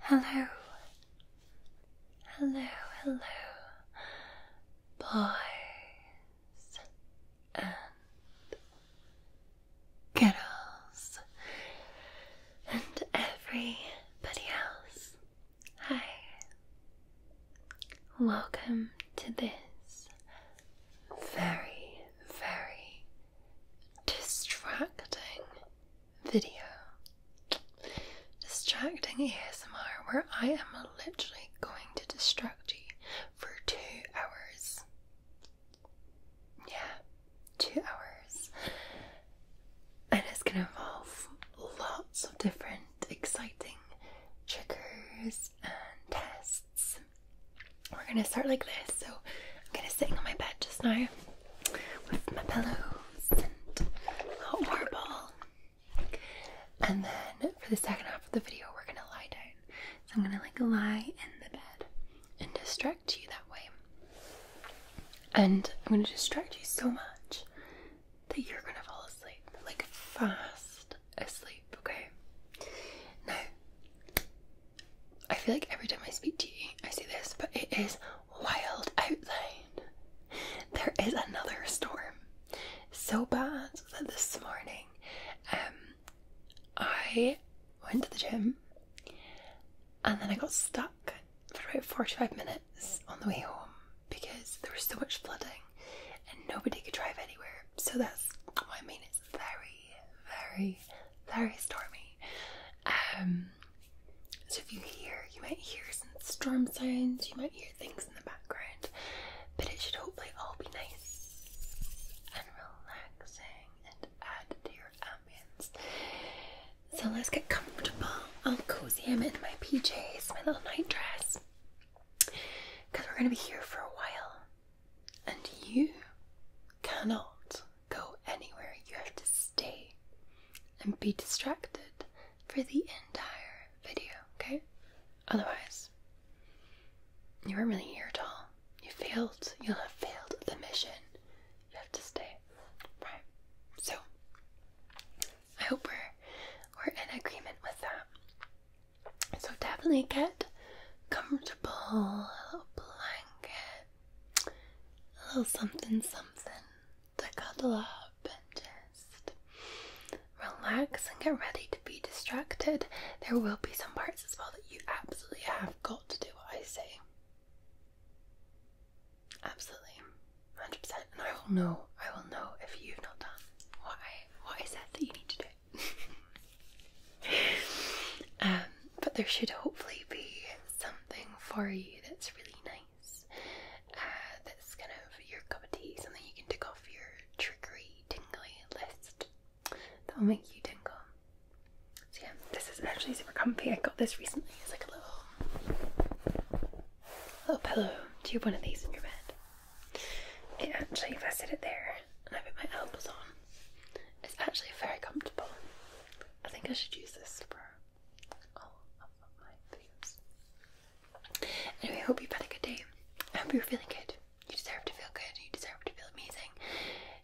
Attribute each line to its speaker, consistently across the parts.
Speaker 1: Hello, hello, hello, boys and girls, and everybody else. Hi, welcome to this very very distracting video. Distracting ASMR, where I am literally going to distract you for two hours. Yeah, two hours. And it's going to involve lots of different exciting triggers and tests we're gonna start like this. So I'm gonna sit on my bed just now with my pillows and a hot water ball. And then for the second half of the video, we're gonna lie down. So I'm gonna like lie in the bed and distract you that way. And I'm gonna distract you so much that you're gonna fall asleep, like fast asleep, okay? Now, I feel like every time I speak to you, I say this, but it is wild out there. There is another storm. So bad that this morning um, I went to the gym and then I got stuck for about 45 minutes on the way home because there was so much flooding and nobody could drive anywhere. So that's what I mean, it's very very, very stormy. Um, so if you hear, you might hear some storm sounds, you might hear things in the background, but it should hopefully all be nice and relaxing and add to your ambience. So let's get comfortable. I'll cozy him in my PJs, my little nightdress, because we're going to be here for a while. And you cannot go anywhere. You have to stay and be distracted for the entire video, okay? Otherwise, you weren't really here at all. You failed. You'll have failed the mission. You have to stay. Right. So I hope we're we're in agreement with that. So definitely get comfortable comfortable little blanket, a little something something to cuddle up and just relax and get ready to be distracted. There will be some parts as well that you absolutely have got to do what I say. Absolutely, 100%. And I will know, I will know if you've not done what I what that that you need to do. Um, but there should hopefully be something for you that's really nice. Uh, that's kind of your cup of tea, something you can tick off your trickery tingly list. That'll make you tingle. So yeah, this is actually super comfy. I got this recently. It's like a little, little pillow. Do you have one of these in your bed? It actually, if I sit it there and I put my elbows on, it's actually very comfortable. I think I should use this for all of my videos. Anyway, I hope you've had a good day. I hope you're feeling good. You deserve to feel good. You deserve to feel amazing.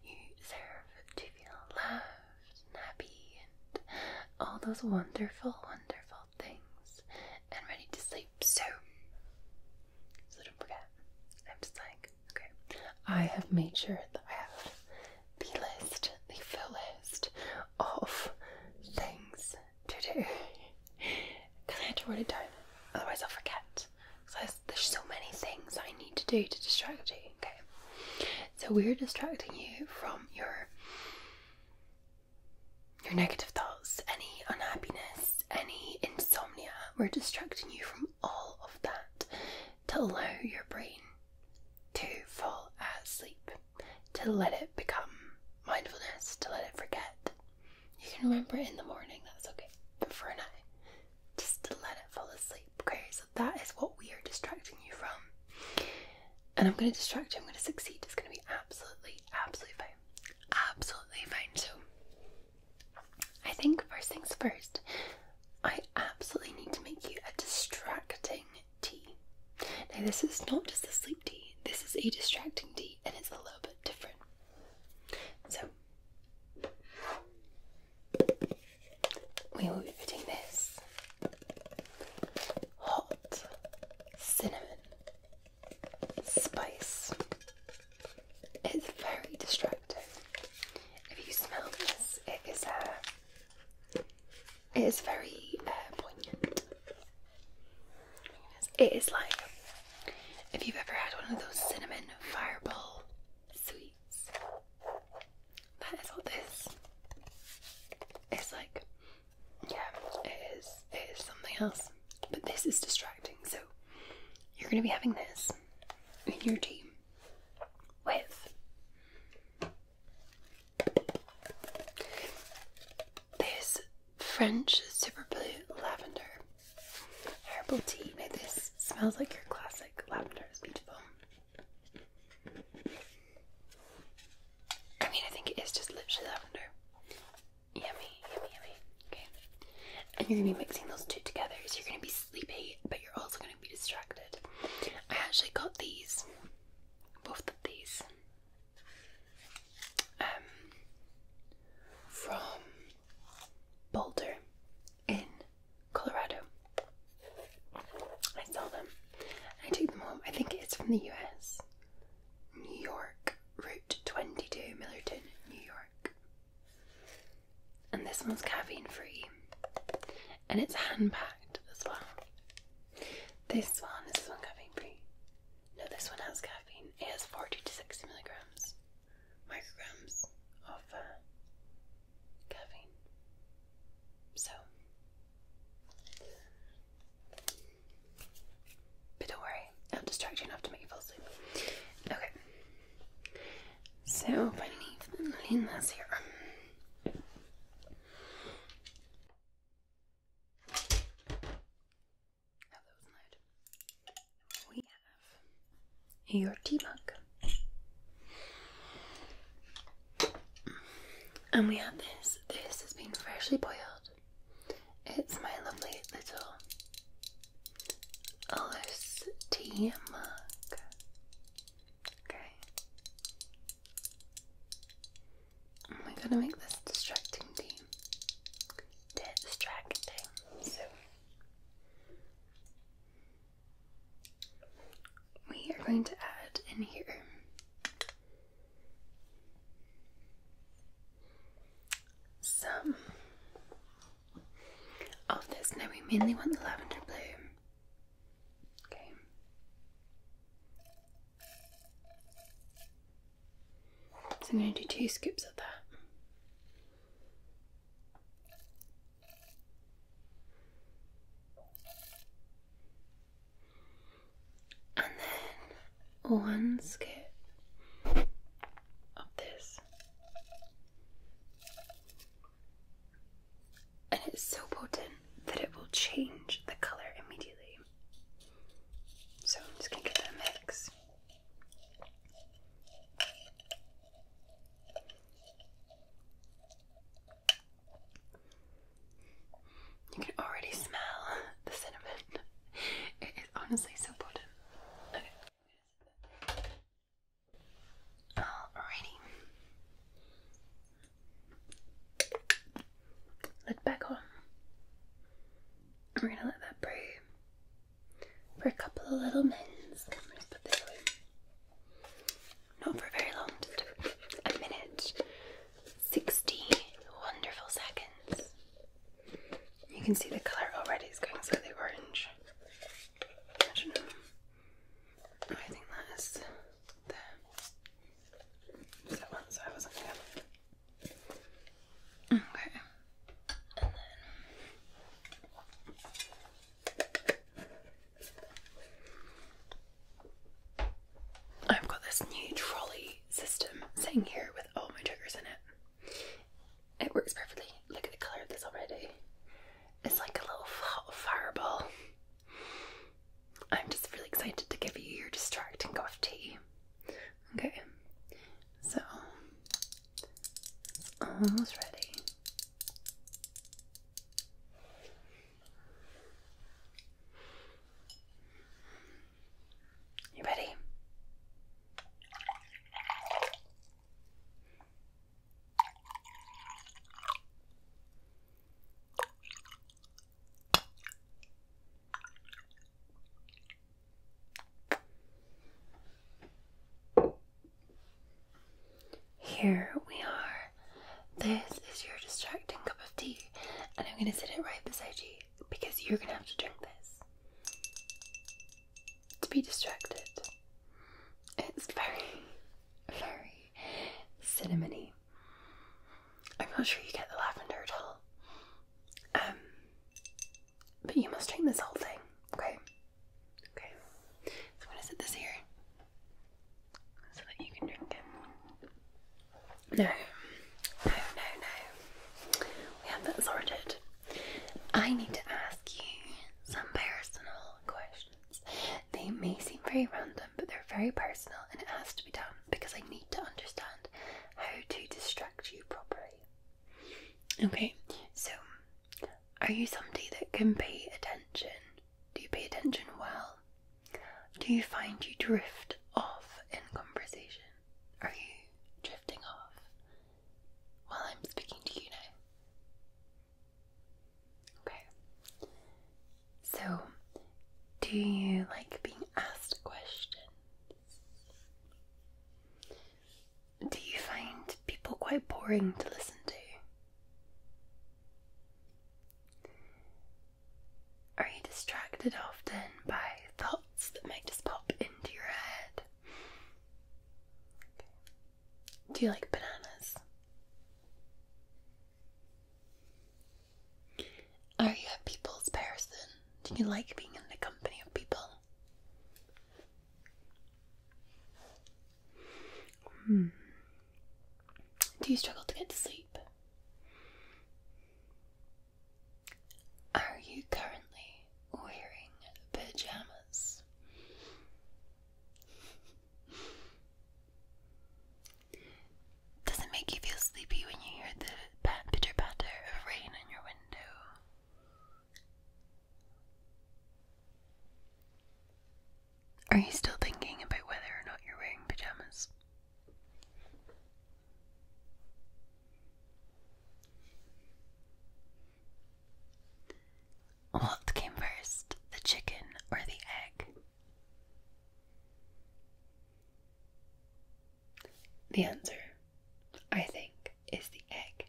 Speaker 1: You deserve to feel loved and happy and all those wonderful, wonderful things and ready to sleep. So, so don't forget, I'm just like Okay, I have made sure that I have the list, the full list of things to do because I had to write it down, otherwise, I'll forget. So there's, there's so many things I need to do to distract you. Okay, so we're distracting you from your your negative thoughts, any unhappiness, any insomnia. We're distracting you from all of that to allow your brain to fall asleep, to let it become mindfulness, to let it forget. You can remember it in the morning, that's okay, but for an eye, just to let it fall asleep. Okay, so that is what we are distracting you from. And I'm going to distract you, I'm going to succeed. It's going to be absolutely, absolutely fine. Absolutely fine. So I think first things first, I absolutely need to make you a distracting tea. Now, this is not just a sleep tea, this is a distracting tea, and it's a little bit different. So, we will be putting this hot cinnamon spice it's very distracting. If you smell this, it is a. Uh, it is very uh, poignant. It is like if you've ever had one of those cinnamon fireball sweets. That is what this. It's like, yeah, it is. It is something else. But this is distracting, so you're going to be having this in your tea with this French Super Blue Lavender Herbal Tea. this smells like your classic lavender, it's beautiful. I mean, I think it is just literally lavender. Yummy, yummy, yummy. Okay and you're gonna be mixing those two together. So you're gonna be sleepy, but you're also gonna be distracted. I actually got these, both of these, um, from Boulder in Colorado. I saw them. I took them home. I think it's from the US. New York, Route 22, Millerton, New York. And this one's caffeine free and it's hand packed as well. This one, is this one caffeine free? No, this one has caffeine. It has 40 to 60 milligrams, micrograms of uh, caffeine. So, but don't worry, I'll distract you enough to make you fall asleep. Okay. So beneath the that's here. We have your tea mug. And we have this. This has been freshly boiled. It's my lovely little Ellis mug. Okay. We're going to make this distracting tea. Distracting. So, we are going to add in here some of oh, this. Now we mainly want the lavender blue. Okay. So I'm going to do two scoops of that. And then one scoop of this. And it's so potent that it will change the color immediately. So I'm just going to get that mix. You can already smell the cinnamon. It is honestly so potent. Alrighty. Lid back on. We're gonna let that brew for a couple of little minutes. i Not for very long, just a minute. 60 wonderful seconds. You can see the colour already is going slightly orange. I think that is the that one? I wasn't there. Okay. And then I've got this new trolley system sitting here with all my triggers in it. It works perfectly. Look at the colour of this already. It's like a little fireball. I'm just really excited to give you your distracting cough Okay, so it's almost ready. You ready? Here we are. This is your distracting cup of tea, and I'm going to sit it right beside you because you're going to have to drink this to be distracted. It's very, very cinnamony. I'm not sure you get the lavender at all. Um, but you must drink this whole thing, okay? Okay. I'm gonna sit this here so that you can drink it. No, no, no, no. We have that sorted. I need to ask you some personal questions. They may seem very random, but they're very personal and it has to be done because I need to understand how to distract you properly. Okay, so are you somebody that can pay attention? Do you pay attention well? Do you find you drift off in conversation? Are you drifting off while I'm speaking to you now? Okay. So, do you like being asked questions? Do you find people quite boring to listen to? Are you distracted often by thoughts that might just pop into your head? Do you like bananas? Are you a people's person? Do you like being in the company of people? Hmm. Do you struggle to get to sleep? Are you currently wearing pajamas? Does it make you feel sleepy when you hear the pat patter of rain on your window? Are you still thinking about whether or not you're wearing pajamas? What came first, the chicken or the egg? The answer, I think, is the egg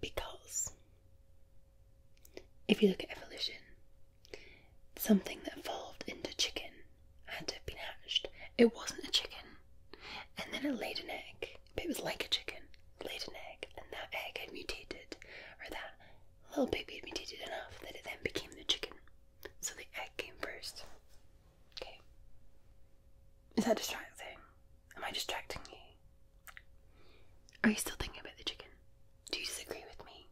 Speaker 1: because if you look at evolution, something that evolved into chicken had to have been hatched. It wasn't a chicken, and then it laid an egg, but it was like a chicken laid an egg, and that egg had mutated, or that little baby mutated enough that it then became the chicken. So the egg came first. Okay. Is that distracting? Am I distracting you? Are you still thinking about the chicken? Do you disagree with me?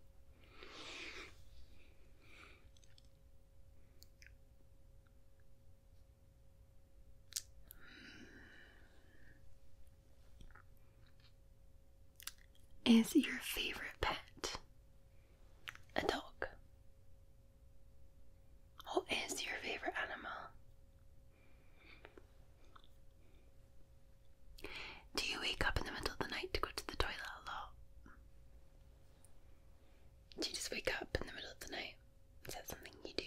Speaker 1: is your favorite pet a dog? What is your favorite animal? Do you wake up in the middle of the night to go to the toilet a lot? Do you just wake up in the middle of the night? Is that something you do?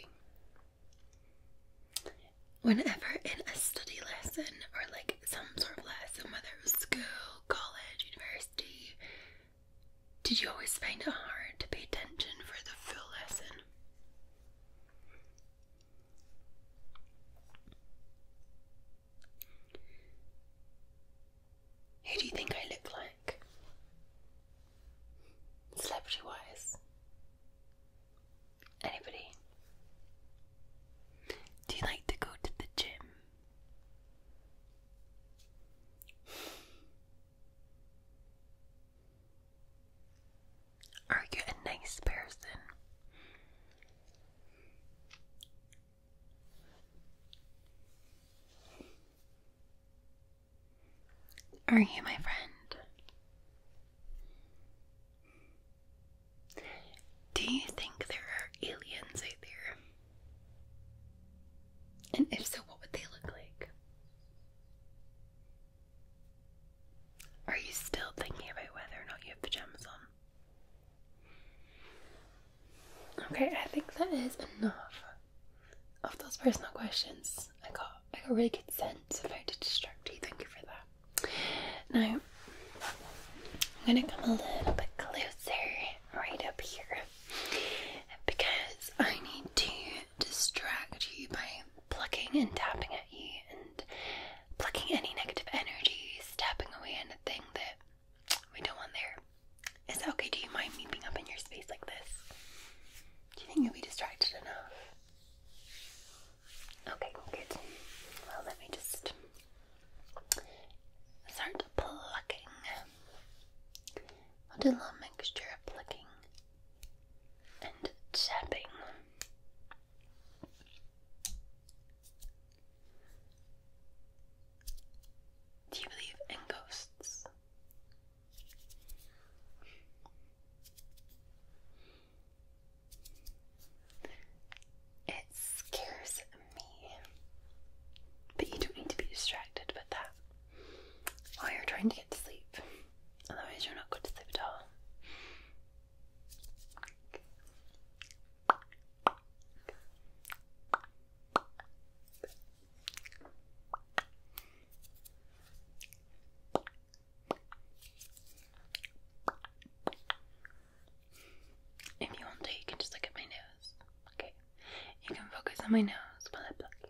Speaker 1: whenever in a study lesson or like some sort of lesson, whether it was school, college, university, did you always find it hard to pay attention for the full lesson? Who do you think I look like? Celebrity wise? Anybody? Do you like to go to the gym? Are you a nice person? Are you my friend? Do you think there are aliens out there? And if so, what would they look like? Are you still thinking about whether or not you have pajamas on? Okay, I think that is enough of those personal questions. I got I got a really good sense of how to distract you. Thank you for that. Now, I'm going to come a little bit closer right up here because I need to distract you by plucking and tapping at you and plucking any negative energy, tapping away thing that we don't want there. Is that okay? Do you mind me being up in your space like this? Do you think you'll be distracted enough? Okay, good. Well, let me just start plucking. a little mixture of plucking and tapping. Do you believe in ghosts? It scares me. But you don't need to be distracted with that while you're trying to get to sleep. Otherwise, you're not going to sleep at all. If you want to, you can just look at my nose. Okay. You can focus on my nose while I pluck you.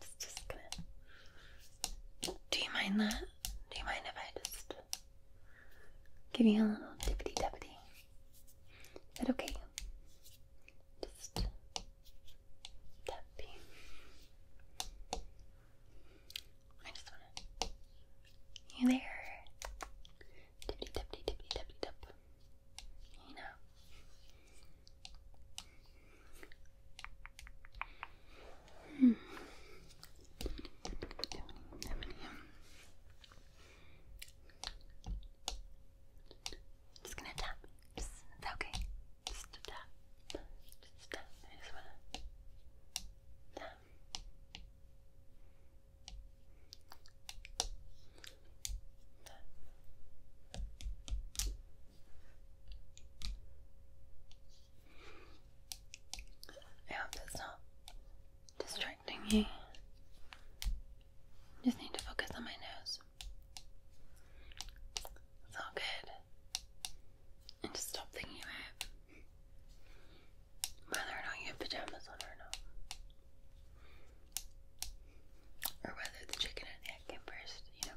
Speaker 1: It's just gonna. Do you mind that? Do you mind if I just give you a little tippity tappity? Is that okay? Just tap you. I just wanna. You there? Tippity tappity tippity tappity tap. You know. Hmm. Just gonna tap. okay. Just tap. Just tap. I just wanna tap. I hope that's not distracting you. Just need to focus on my nose. It's all good. And just stop thinking about whether or not you have pajamas on or not. Or whether the chicken and the egg came first, you know.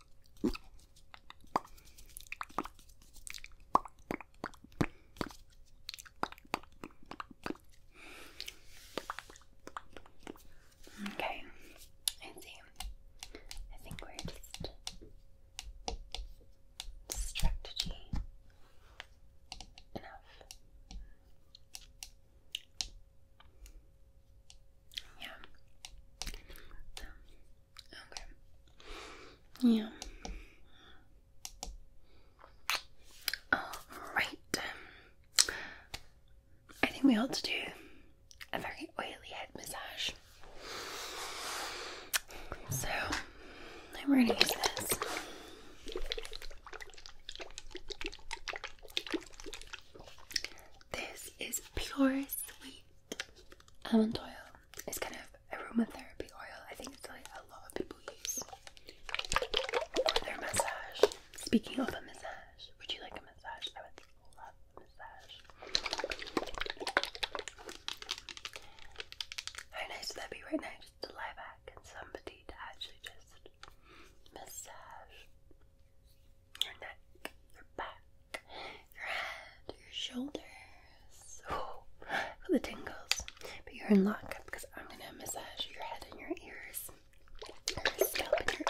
Speaker 1: Okay, I think we're just strategy enough. Yeah. Um, Okay. Yeah. Alright. I think we ought to do a very oily head massage. So, we're going to use this. This is pure sweet Almond oil is kind of aromatherapy oil. I think it's like a lot of people use for their massage. Speaking of a massage, would you like a massage? I would love a massage. How nice would that be right now? Just to lie back and somebody to actually just massage your neck, your back, your head, your shoulders. Oh, the tingles. But you're in luck because I'm going to massage your head and your ears. and your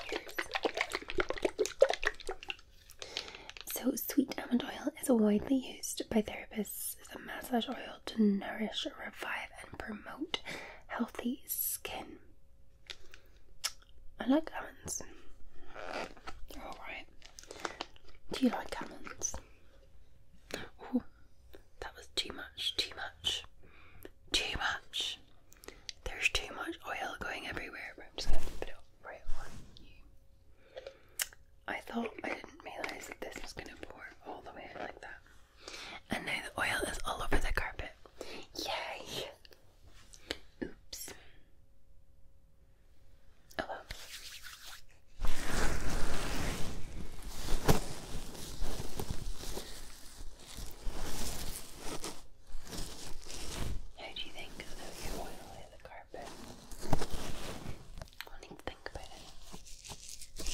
Speaker 1: ears. So, sweet almond oil is widely used by therapists as a massage oil to nourish, revive, and promote healthy skin. I like almond Alright. Do you like almonds? Oh, that was too much, too much, too much. There's too much oil going everywhere, I'm just going to put it right on you. I thought I didn't realise that this was going to pour all the way in like that. And now the oil is all over the carpet. Yay! Oops. Oh How do you think of your oil in the carpet? I'll need to think about it.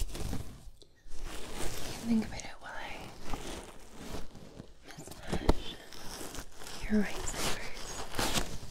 Speaker 1: think about it while I massage your right side first.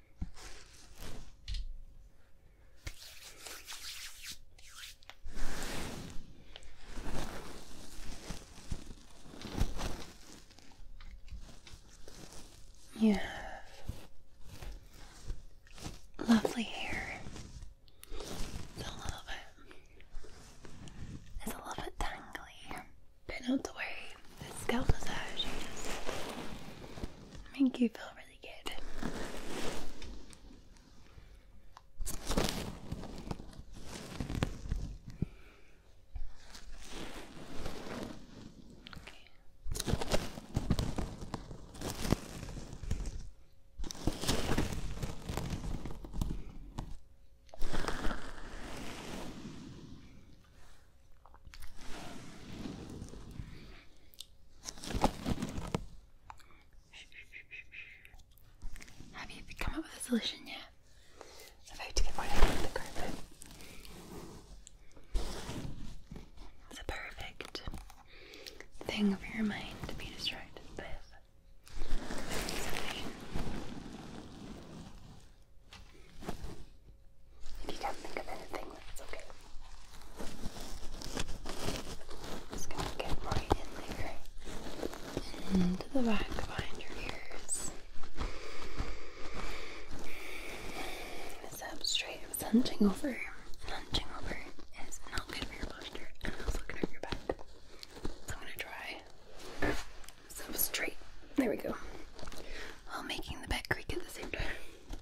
Speaker 1: You have lovely hair. It's a little bit, it's a little bit tangly. Been out the the scalp massage you just make you feel really good. Have you come up with a solution yet? I'm about to get one out of the carpet. It's a perfect thing for your mind to be distracted with. If you can't think of anything, that's okay. Just gonna get right in there into the back behind your ears. This substrate is hunching over. Hunching over is not good for your posture and also good for your back. So I'm gonna try substrate. There we go. While making the back creak at the same time.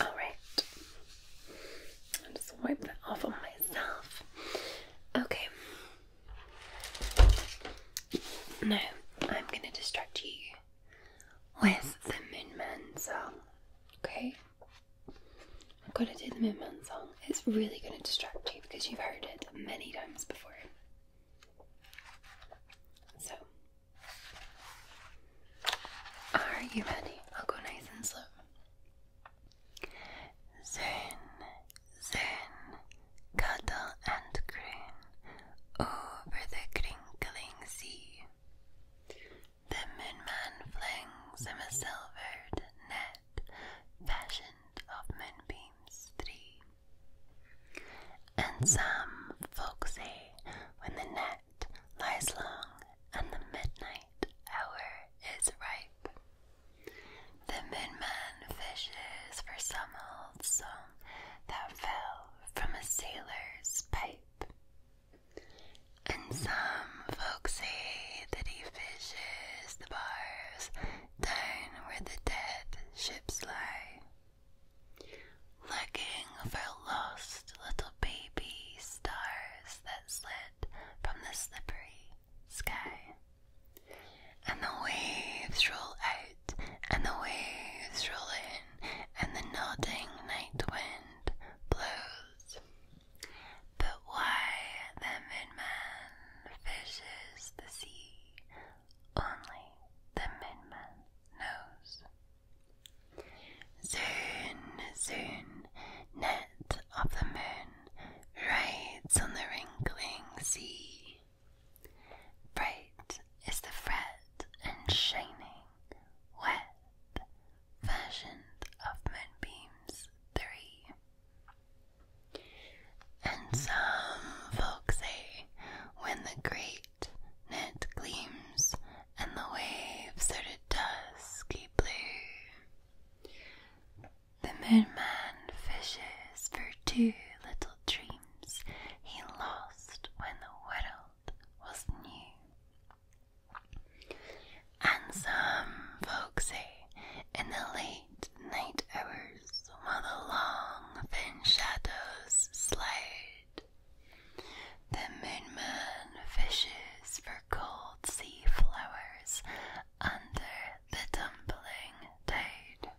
Speaker 1: Alright. I'll just wipe that off on myself. Okay. Now, I'm going to distract you with the Moonman song. Okay? i am going to do the Moonman song. It's really going to distract you because you've heard it many times before. So, are you ready? I'll go nice and slow. Zön, zön, cuddle and croon over the crinkling sea. The moonman flings him a silvered net fashioned of moonbeams three. And some folks say when the net lies long, and the midnight hour is ripe. The midman fishes for some old song that fell from a sailor's pipe. And some folks say that he fishes the bars down where the dead ships lie, looking for lost little baby stars that slid from the slippery sky. And the waves roll out, and the waves roll in, and the nodding night wind blows. But why the midman fishes the sea, only the midman knows. Soon, soon, net of the moon rides on the wrinkling sea. Bright is the fret and shining, wet, fashioned of moonbeams three. And some folk say, when the great net gleams and the waves are a dusky blue. The moonman fishes for two little dreams he lost when the world was new. And some folks say in the late night hours while the long thin shadows slide the moonman fishes for cold sea flowers under the tumbling tide.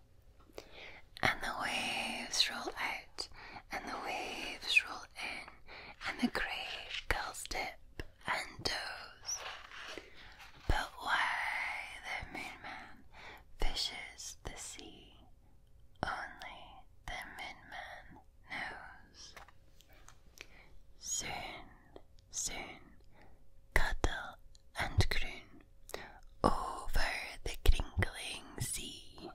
Speaker 1: And the waves roll out, and the waves roll in, and the grey gulls dip and doze. But why the moonman fishes the sea, only the moonman knows. Soon, soon, cuddle and croon over the crinkling sea.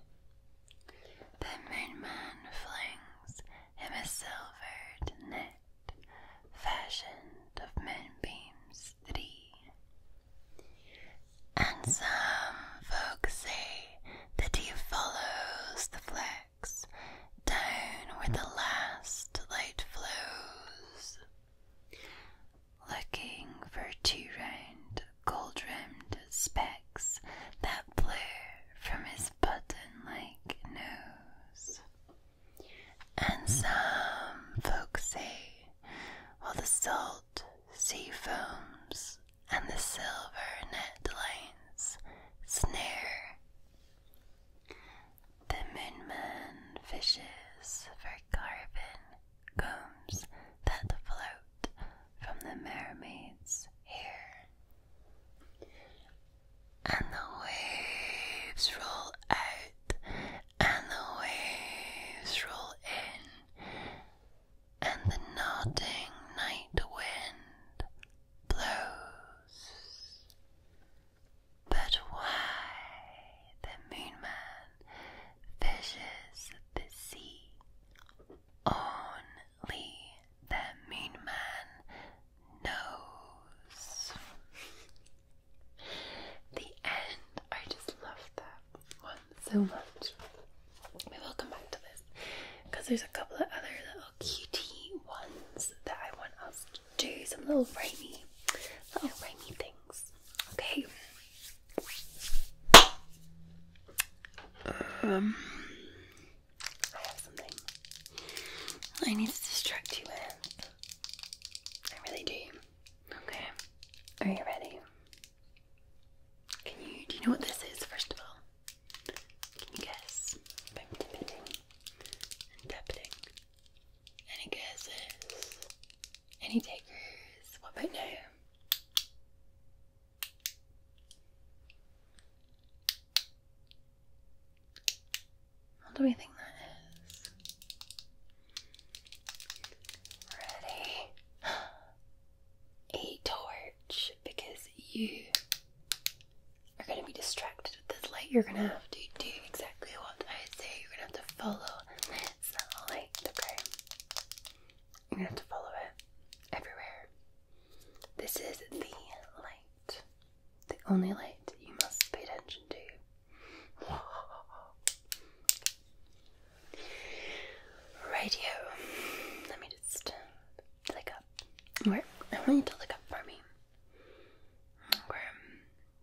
Speaker 1: The moonman flings him a silvered net fashioned of moonbeams three. And some folks say that he follows the flesh down where the last light flows, looking for two round gold rimmed specks that blur from his button like nose. And hmm. some folks say, while the salt sea foams and the silver net lines snare the moonman fishes for carbon combs that float from the mermaid's here, And the waves roll out, and the waves roll in, and the nodding night wind blows. But why the Moonman fishes the sea? Only the Moonman knows. the end. I just love that one so much. We will come back to this because there's a couple of other little cutie ones that I want us to do. Some little rhymey, little rhymey things. Okay. Um, I have something I need to distract you with. I really do. Okay. Are you ready? Can you? Do you know what this is? First of all guess? I'm tapping and Any guesses? Any takers? What about now? What do we think that is? Ready? A torch because you you're going to be distracted with this light. You're going to have to do exactly what I say. You're going to have to follow this okay? You're going to have to follow it everywhere. This is the light, the only light you must pay attention to. Radio. Let me just flick Alright, I want you to look up for me.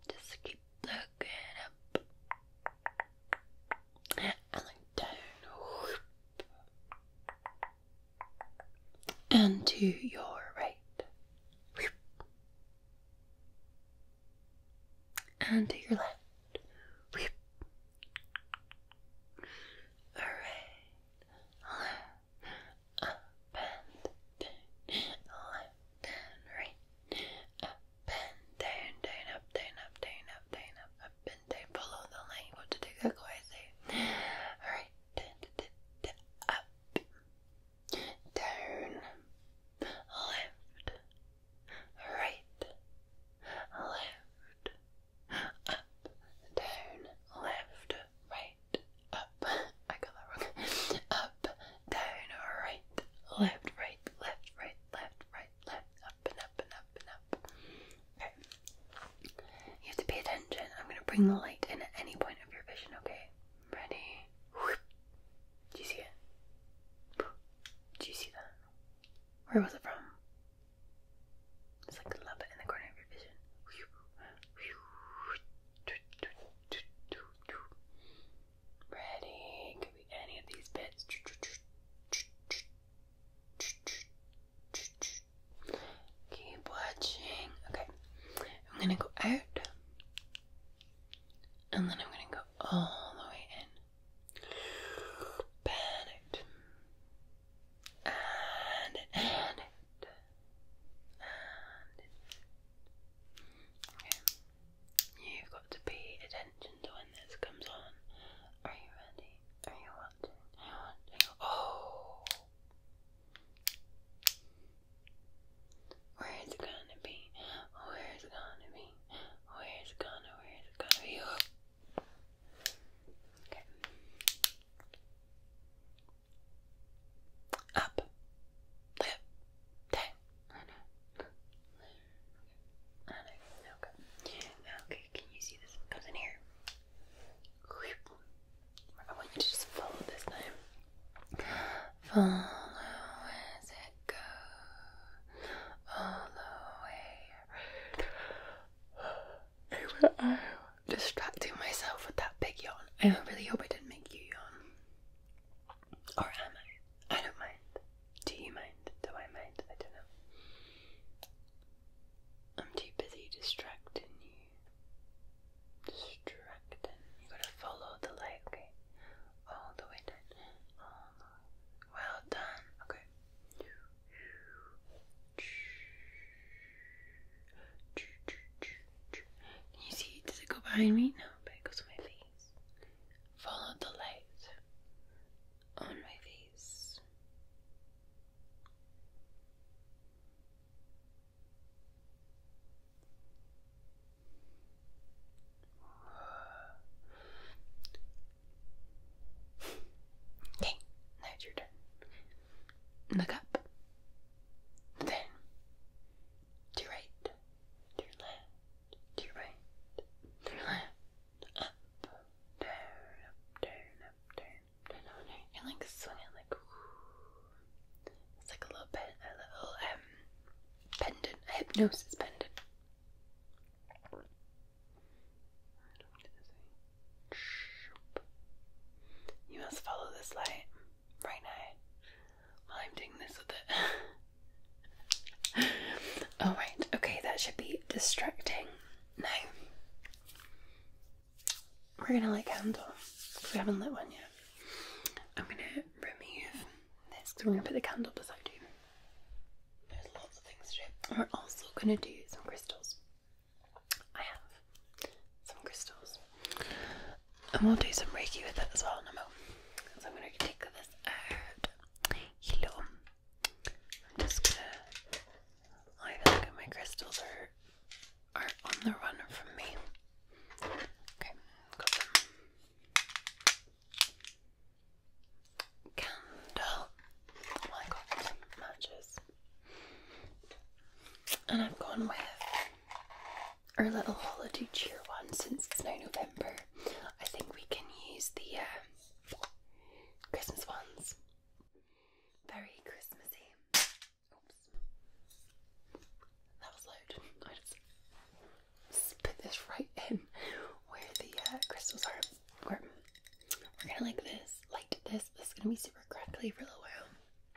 Speaker 1: just keep looking up. And look down. And to your right. And to your left. Alright up and down, left and right, up down, down, up, down, up, down, up, down, up, up the line. What did it go? say, right, down, left, right, left, up, down, left, right, up. I got that wrong. Up, down, right, left, right, left, right, left, right, left, up and up and up and up. Okay. You have to pay attention. I'm gonna bring the light in at any point of your vision, okay? Ready? Do you see it? Do you see that? Where was it from? It's like love it in the corner of your vision. Ready? Could be any of these bits. Keep watching. Okay, I'm gonna go out and then I'm gonna go all the way in. Pan and and and Okay, you've got to pay attention to when this comes on. Are you ready? Are you watching? Oh, where is it gonna be? Where is it gonna be? Where is it gonna? Where is it gonna be? Okay up, lip, tongue. I know. Okay. Okay. Can you see this? It goes in here. I want you to just follow this time. Follow as it goes all the way. I'm distracting myself with that big yawn. I really hope I didn't make you yawn. Or am I? I don't mind. Do you mind? Do I mind? I don't know. I'm too busy distracting you. Distracting. You gotta follow the light, okay? All the way down. All Well done. Okay you see? Does it go behind me? No, it goes on my face. Follow the light on my face. Okay, now it's your turn. Look up. Then to your right, to your left, to your right, to your left, up, down, up, down, up, down, down, down, down. And like swing it like whoo. It's like a little bit a little um pendant, a hypnosis pendant. I don't know what to say. You must follow this light right now. Well, I'm doing this with it. Alright, okay, that should be distracting. Now, we're gonna light candle we haven't lit one yet. I'm gonna remove this because we're gonna put the candle beside you. There's lots of things to do. We're also gonna do some crystals. I have some crystals. And we'll do some Reiki with it as well in a moment. So I'm going to take this out. Hello. I'm just going to... I feel like my crystals are are on the run from me. Okay, got them. Candle. Oh, I got matches. And I've gone with our little holiday cheer one since it's now November. I think we can use the uh, Christmas ones. Very Christmassy. That was loud. I just spit this right in where the uh, crystals are. We're, we're like this, like this. This is gonna be super crackly for a little while.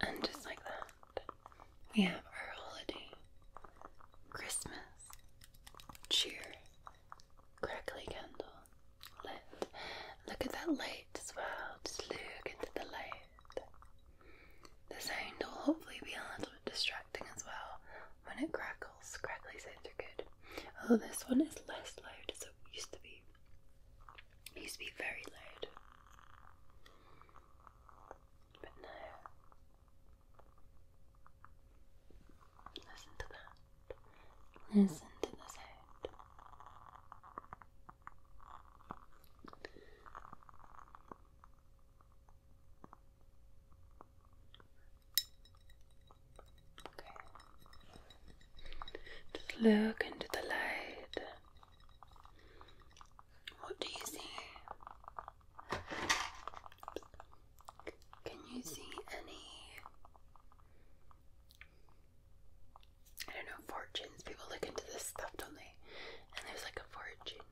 Speaker 1: And just like that, we have our holiday, Christmas, cheer, crackly candle, lit. Look at that light as well, just look into the light. The sound will hopefully be a little bit distracting as well when it crackles. Crackly sounds are good. Oh, this one is less loud as it used to be. It used to be very loud, but now. Listen to that. Listen to the sound. Just look into the light. What do you see? Can you see any? I don't know, fortunes. People look into this stuff, don't they? And there's like a fortune.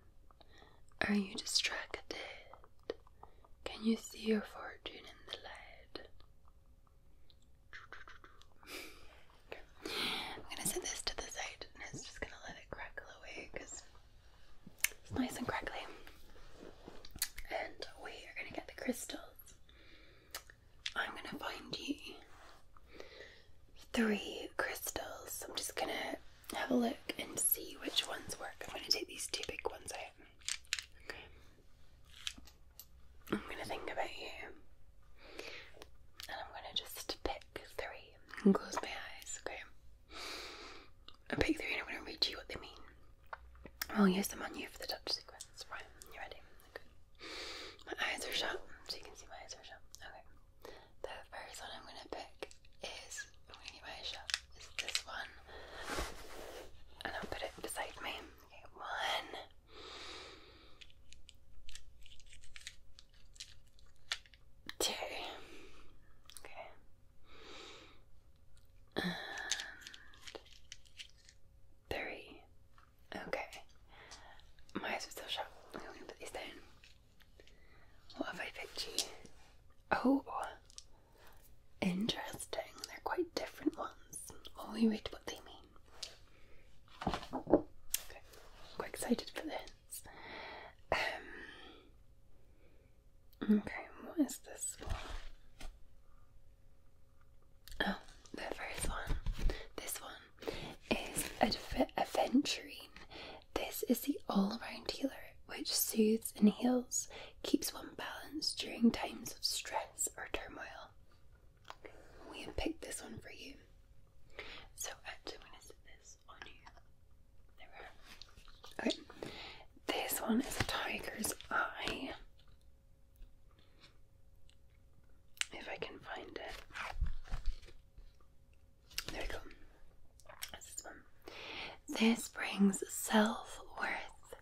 Speaker 1: Are you distracted? Can you see your fortune in the light? I'm gonna set this to the side and it's just gonna let it crackle away because it's nice and crackly. And we are gonna get the crystals. I'm gonna find you three crystals. I'm just gonna have a look and see which ones work. I'm gonna take these two big ones out. Okay. I'm gonna think about you, and I'm gonna just pick three and close my eyes. Okay, I pick three, and I'm gonna read you what they mean. I'll use the menu for the touch sequence. Right? You ready? My eyes are shut, so you can see my eyes are shut. Okay. The first one I'm gonna pick is i my eyes shut. Is this one, and I'll put it beside me. Okay, one. Two. Okay. three. Okay. My eyes are still shut. I'm going to put these down. What have I picked Oh, interesting. They're quite different ones. Well, we read what they mean. Okay, I'm quite excited for this. Um, okay, what is this one? Oh, the first one. This one is Adv Aventurine. This is the all-round healer, which soothes and heals, keeps one balanced during times of stress or turmoil. We have picked this one for you. So I'm gonna sit this on you. There we go. Okay. This one is a tiger's eye. If I can find it. There we go. this one. This brings self worth,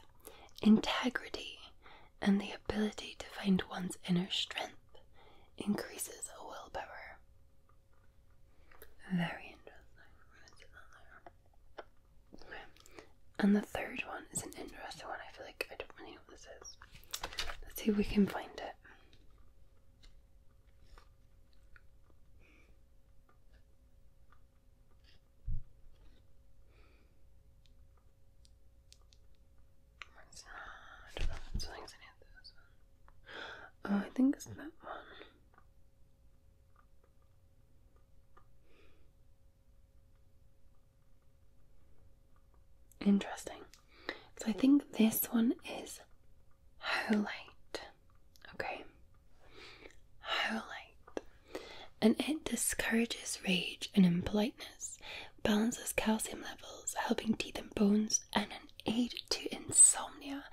Speaker 1: integrity, and the ability to find one's inner strength increases a willpower. Very interesting. And the third one is an interesting one. I feel like I don't really know what this is. Let's see if we can find it. Oh, I think it's that one. Interesting. So I think this one is highlight. Okay. Highlight and it discourages rage and impoliteness, balances calcium levels, helping teeth and bones, and an aid to insomnia,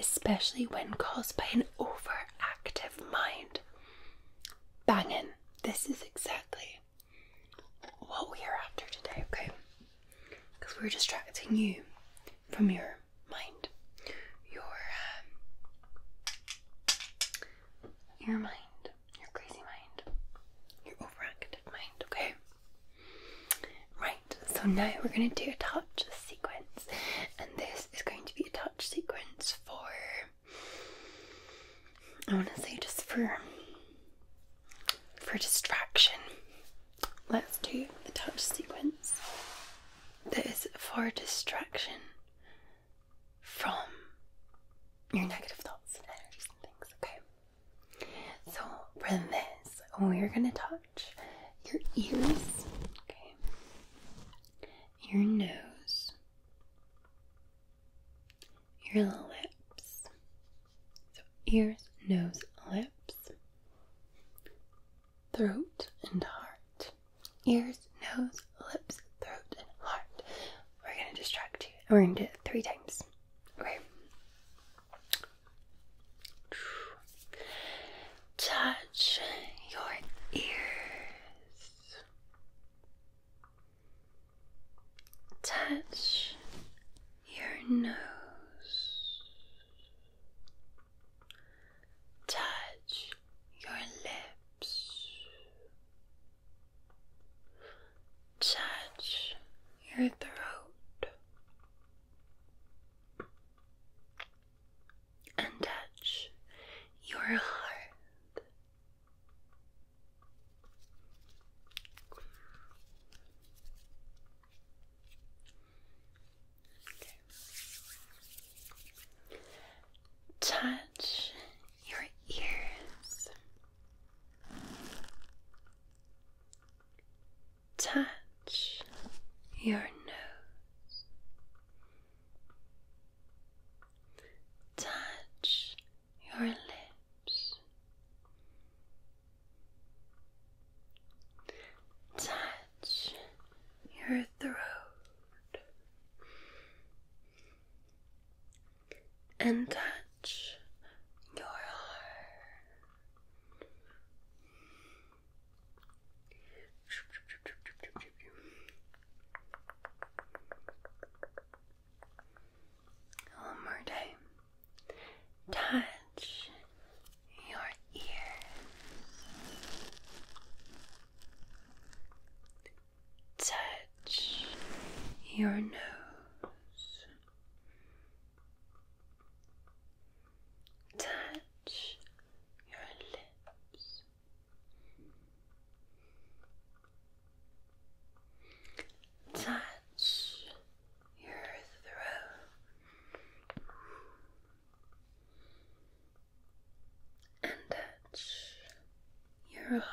Speaker 1: especially when caused by an overactive mind. Bangin', this is exactly what we are after today, okay? Because we're distracting you from your mind, your um, your mind your crazy mind, your overactive mind, okay? Right, so now we're going to do a touch sequence, and this is going to be a touch sequence for I want to say just for for distraction. Let's do the touch sequence. That is for distraction from your negative thoughts and energies and things, okay? So, for this, we're gonna touch your ears, okay? Your nose, your lips. So, ears, nose, lips, throat, and heart. Ears, nose, lips, throat, and heart. We're going to distract you. we're going to do it three times. Okay. Touch your ears. Touch your nose. Touch your lips touch your throat and touch your heart touch your ears, touch your nose, touch your lips, touch your throat and touch your heart. One more time. Touch your ears touch your nose, touch your lips, touch your throat, and touch your heart.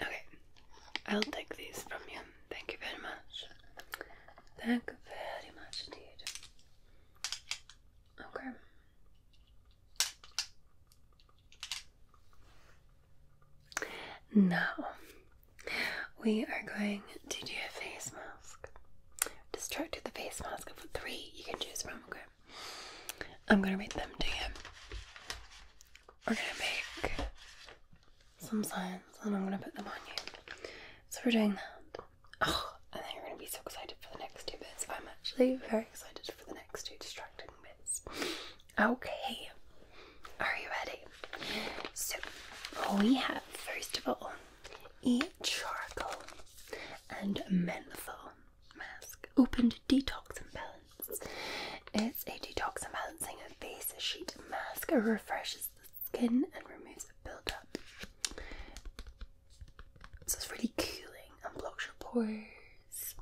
Speaker 1: Okay, I'll take these from you. Thank you very much. Thank you very much indeed. Okay. Now we are going to do a face mask. Just try to do the face mask of three you can choose from. Okay. I'm gonna read them to you. We're gonna make some signs and I'm gonna put them on you. So we're doing that. Oh, and then you're gonna be so excited for the next two bits. I'm actually very excited for the next two distracting bits. Okay, are you ready? So we have first of all a charcoal and menthol mask opened detox and balance. It's a detox and balancing face sheet mask. It refreshes the skin and removes the buildup. So it's really cooling and blocks your pores.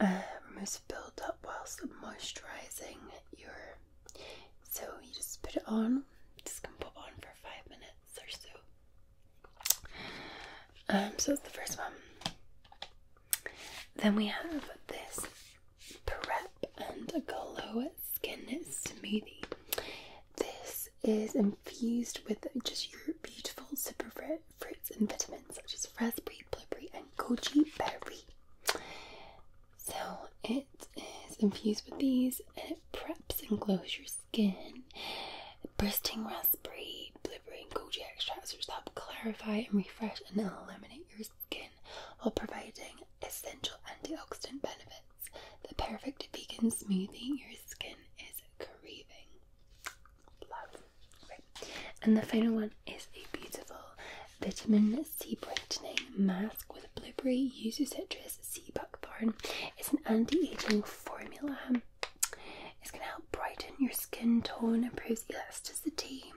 Speaker 1: Uh, removes buildup whilst moisturising your. So you just put it on. This can put on for five minutes or so. Um, so that's the first one. Then we have this Prep and Glow Skin Smoothie. This is infused with just your beautiful super fruits and vitamins such as raspberry, blueberry, and goji berry. So it is infused with these and it preps and glows your skin. Bursting raspberry, blueberry, and goji extracts which help clarify and refresh and eliminate your skin while providing essential antioxidant benefits. The perfect vegan smoothie your skin is craving. Love. And the final one is a beautiful vitamin C brightening mask with blueberry, yuzu citrus, sea buckthorn. It's an anti-aging formula. It's going to help brighten your skin tone, improves elasticity,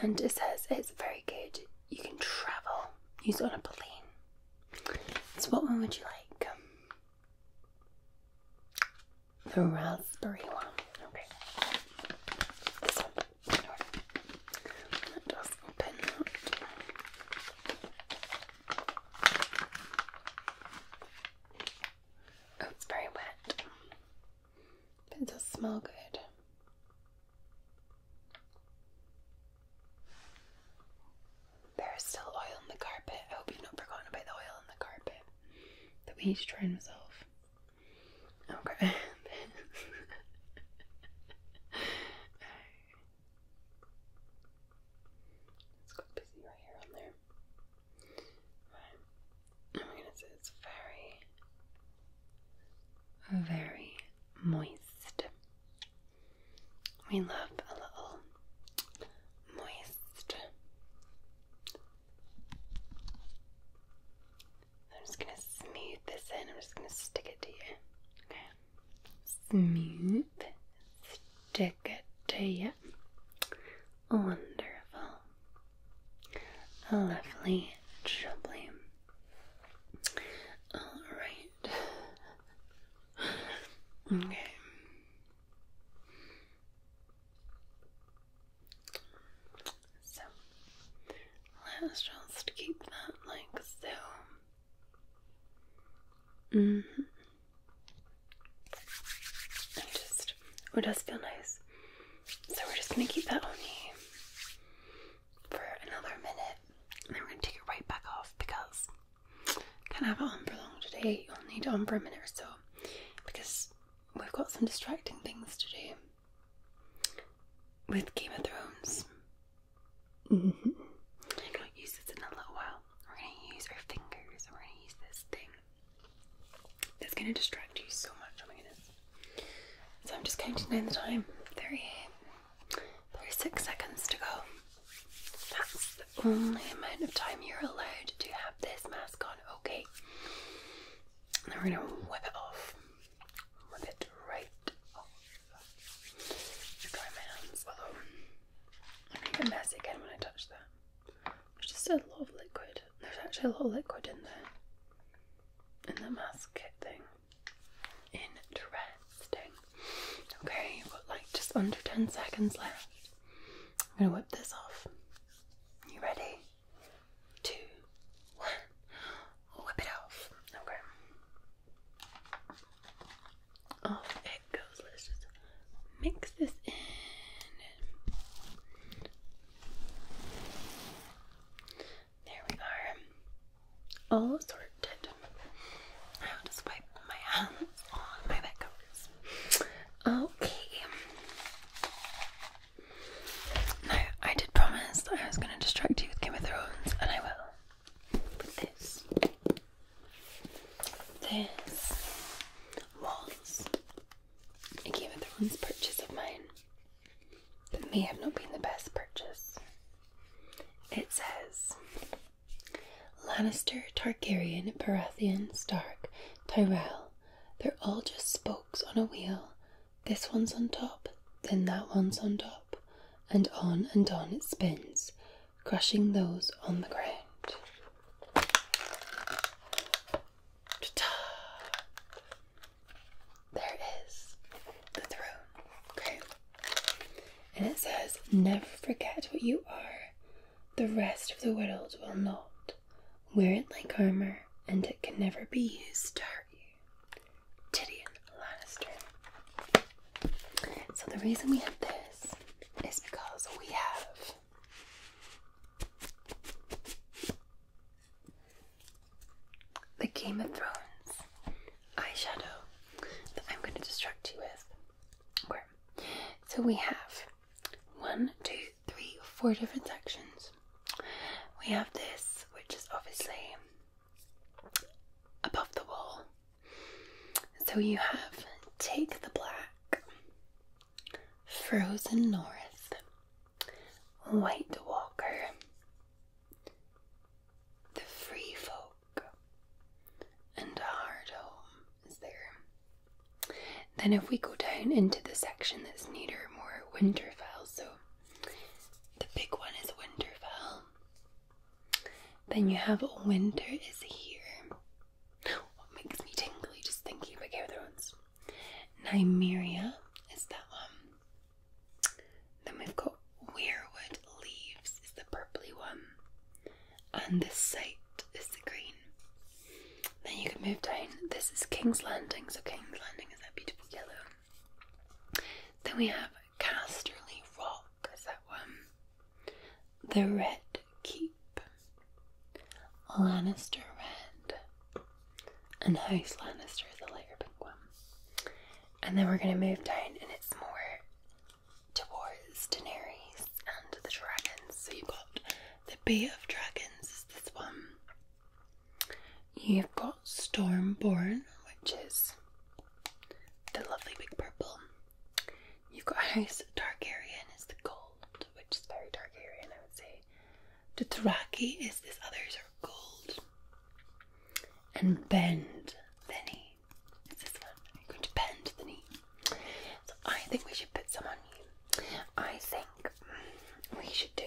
Speaker 1: and it says it's very good. You can travel, use on a plane. So, what one would you like? Um, the raspberry one. Okay. Let us open that. Oh, it's very wet it does smell good. There is still oil in the carpet. I hope you've not forgotten about the oil in the carpet that we need to try and resolve. Okay. It's got busy right here on there. Right. I'm going to say it's very, very moist. We love a little moist. I'm just going to smooth this in. I'm just going to stick it to you. Okay. Smooth. Stick it to you. Wonderful. A lovely jubbly. Alright. Okay. So let's just keep that like so. -hmm. just it does feel nice. So we're just gonna keep that on you for another minute, and then we're gonna take it right back off because can't have it on for long today. You'll need it on for a minute or so because we've got some distracting things to do with Game of Thrones. I'm mm-hmm. going use this in a little while. We're gonna use our fingers we're gonna use this thing that's going to distract you so much. Oh my goodness. So I'm just counting down the time 38, 36 seconds to go. That's the only amount of time you're allowed to have this mask on. Okay. Now we're going to wipe it off. Wipe it right off. Dry my hands. Uh I'm going to when I touch that. There's just a lot of liquid. There's actually a lot of liquid in there. In the mask kit thing. Interesting. Okay, you've got like just under 10 seconds left. I'm gonna whip this off. You ready? Two, one. Whip it off. Okay. Off it goes. Let's mix this in. There we are, all sorted. I will just wipe my hands on my covers. Okay. Now, I did promise I was going to distract you with Game of Thrones, and I will. this, this was I gave it the once purchase of mine. That may have not been the best purchase. It says Lannister, Targaryen, Baratheon, Stark, Tyrell. They're all just spokes on a wheel. This one's on top, then that one's on top, and on and on it spins, crushing those on the ground. There is the throne. Okay. And it says, Never forget what you are. The rest of the world will not. Wear it like armor, and it can never be used to hurt you. Tyrion Lannister. So the reason we have this is because we have the Game of Thrones eyeshadow that I'm going to distract you with. Okay. So we have one, two, three, four different sections. We have this, which is obviously above the wall. So you have Take the Black, Frozen North, White Walker, The Free Folk, and Hard is there. Then, if we go down into the section that's neater, more Winterfell, so the big one is Winterfell. Then you have Winter is here. What makes me tingly just thinking about Game of Thrones. Nymeria is that one. Then we've got Weirwood Leaves is the purpley one. And this site is the green. Then you can move down. This is King's Landing, so King's Landing is that beautiful yellow. Then we have Casterly Rock is that one. The Red Keep. Lannister Red and House Lannister is a lighter pink one. And then we're going to move down, and it's more towards Daenerys and the dragons. So you've got the Bay of Dragons, is this one. You've got Stormborn, which is the lovely big purple. You've got House Targaryen, is the gold, which is very Targaryen, I would say. The Dothraki is this, others are gold. And bend the knee. It's this one. you going to bend the knee. I think we should put some on you. I think we should do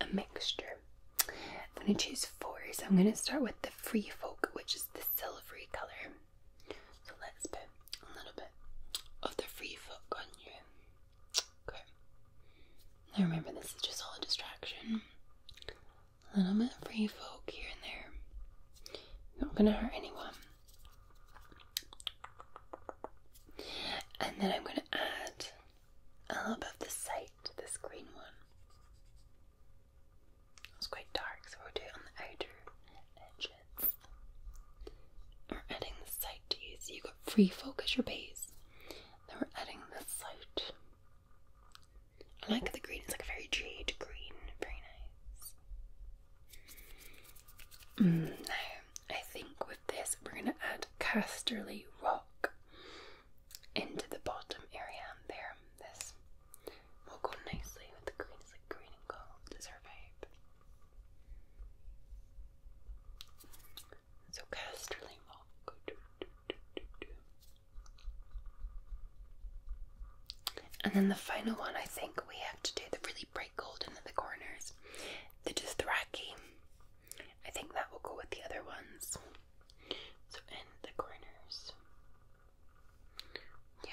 Speaker 1: a mixture. I'm going to choose four. So I'm going to start with the Free Folk, which is the silvery colour. So let's put a little bit of the Free Folk on you. Okay. Now remember, this is just all a distraction. A little bit of free folk here and there. Not gonna hurt anyone. And then I'm gonna add a little bit of the sight to this green one. It's quite dark, so we'll do it on the outer edges. We're adding the sight to you, so you can got free folk your base that we're adding this side. I like the green, it's like a very jade green, very nice. Mm, now, I think with this we're going to add Castorly rock into the bottom area there. This will go nicely with the green, it's like green and gold is our vibe. So Casterly And then the final one, I think we have to do the really bright gold in the corners, the Dothraki. I think that will go with the other ones. So in the corners. Yeah.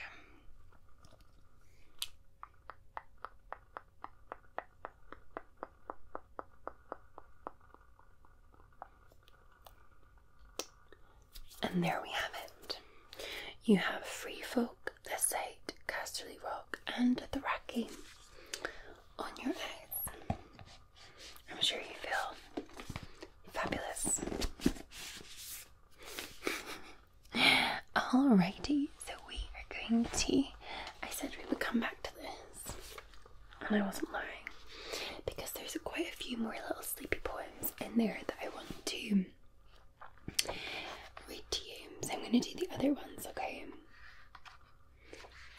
Speaker 1: And there we have it. You have Free Folk, The Sight, Casterly Rock, and The Racky on your eyes. I'm sure you feel fabulous. All righty, so we are going to I said we would come back to this, and I wasn't lying because there's quite a few more little sleepy poems in there that I want to read to you. So I'm going to do the other ones, okay?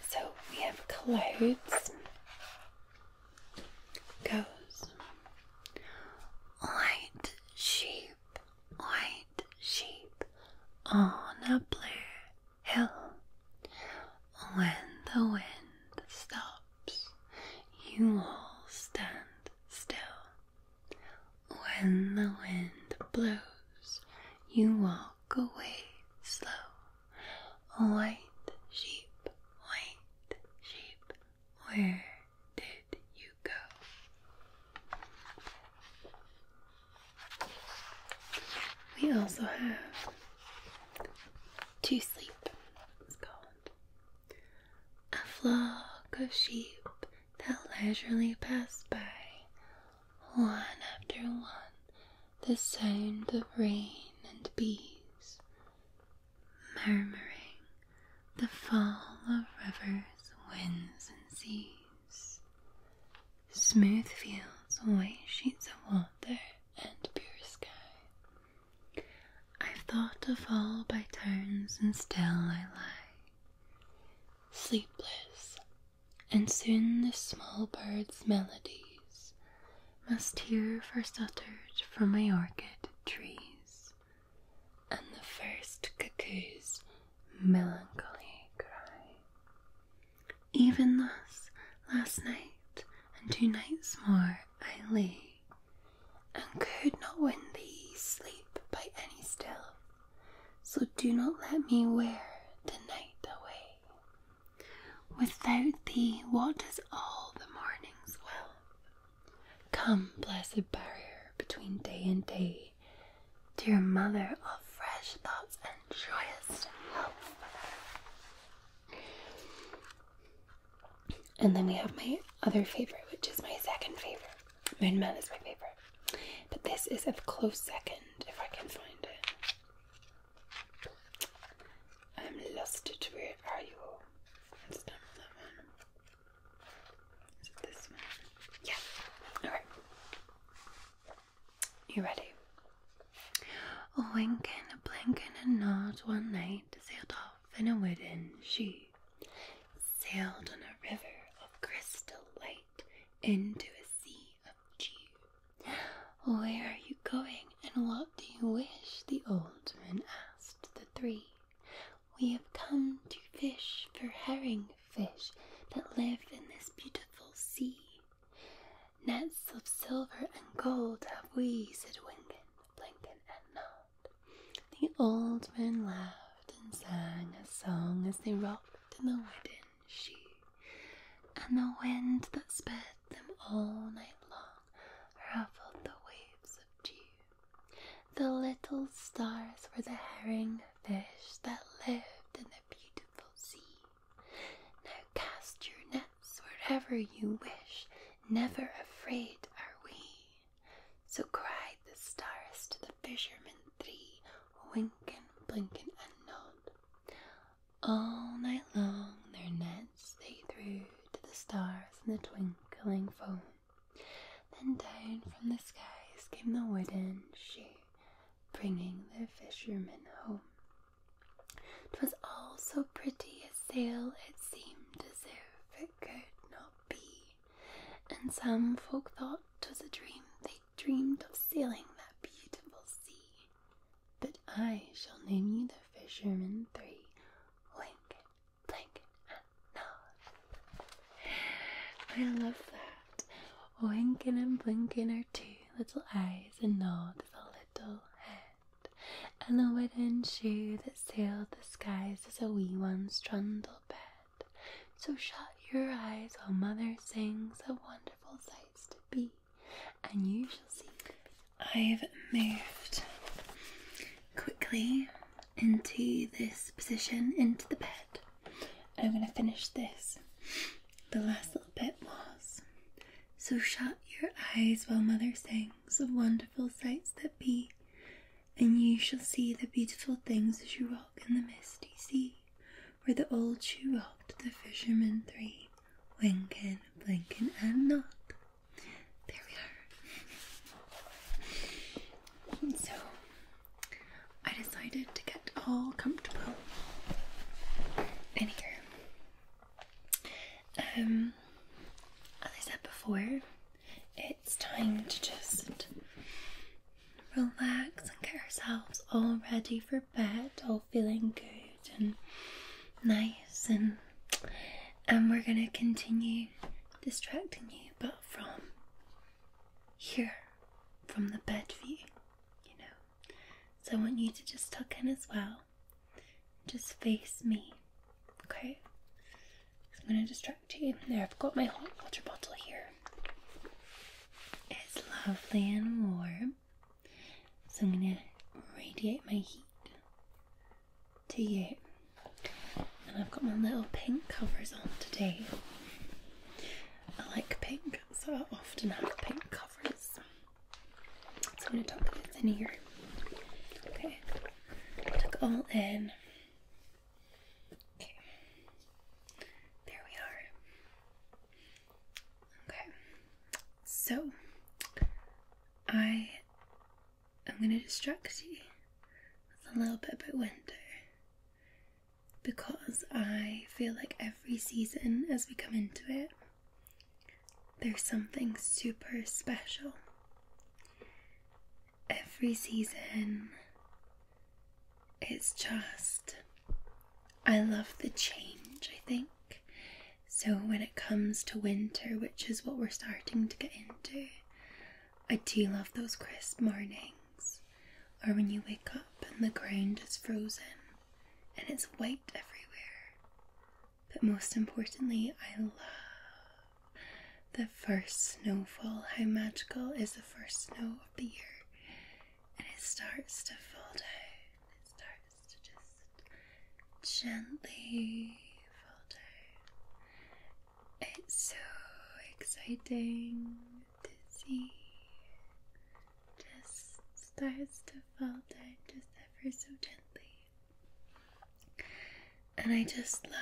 Speaker 1: So we have clothes, goes, white sheep, white sheep on a blue hill. When the wind stops, you all stand still. When the wind blows, you walk away slow. White sheep, white sheep, where did you go? We also have To Sleep, A flock of sheep that leisurely pass by, one after one, the sound of rain and bees murmuring, the fall of rivers, winds, and seas smooth fields, white sheets of water, and pure sky. I've thought of all by turns, and still I lie sleepless, and soon the small bird's melodies must hear first uttered from my orchid trees, and the first cuckoo's melancholy cry. Even thus, last night and two nights more I lay, and could not win thee sleep by any still. So do not let me wear the night away. Without thee, what does all the morning's will? Come, blessed barrier between day and day, Dear mother of fresh thoughts and joyous health. And then we have my other favorite, which is my second favorite. Moon Man is my favorite, but this is a close second if I can find it. I'm lost it. Where are you? It's time that one. Is it this one? Yeah. Alright. You ready? A wink, and a blink, and a nod one night sailed off in a wooden she sailed on a river of crystal light into a sea of dew. Where are you going and what do you wish? The old man asked the three. We have come to fish for herring fish that live in this beautiful sea. Nets of silver and gold have we, said Winkin, Blinkin, and Nod. The old men laughed and sang a song as they rocked in the wooden shoe, and the wind that sped them all night long ruffled the waves of dew. The little stars were the herring fish that lived in the beautiful sea, now cast your nets wherever you wish, never afraid are we. So cried the stars to the fishermen three, winkin', blinkin', and nod. All night long their nets they threw to the stars in the twinkling foam. Then down from the skies came the wooden shoe, bringing the fishermen home, 'twas all so pretty a sail, it seemed as if it could not be. And some folk thought 'twas a dream, they dreamed of sailing that beautiful sea. But I shall name you the fishermen three, Wink, Blink, and Nod. I love that. Winking and blinking are two little eyes, and nod the little head. And the wooden shoe that sailed the skies is a wee one's trundle bed. So shut your eyes while mother sings a wonderful sight to be, and you shall see. I've moved quickly into this position into the bed. and I'm going to finish this the last little bit was So shut your eyes while mother sings of wonderful sights that be, and you shall see the beautiful things as you walk in the misty sea, where the old shoe rocked the fishermen three, winking, blinkin' and not. There we are. So I decided to get all comfortable in here. Um, as I said before, it's time to just relax and get ourselves all ready for bed, all feeling good and nice, and and we're gonna continue distracting you, but from here, from the bed view, you know, so I want you to just tuck in as well. Just face me, okay? I'm going to distract you. There, I've got my hot water bottle here. It's lovely and warm. So I'm going to radiate my heat to you. And I've got my little pink covers on today. I like pink, so I often have pink covers. So I'm going to tuck this in here. Okay, tuck all in. Okay, there we are. Okay, so I am going to distract you with a little bit about winter because I feel like every season as we come into it, there's something super special. Every season, it's just, I love the change, I think. So, when it comes to winter, which is what we're starting to get into, I do love those crisp mornings, or when you wake up and the ground is frozen and it's white everywhere. But most importantly, I love the first snowfall. How magical is the first snow of the year? And it starts to fall down. It starts to just gently fall down. It's so exciting dizzy, just starts to fall down just ever so gently. And I just love,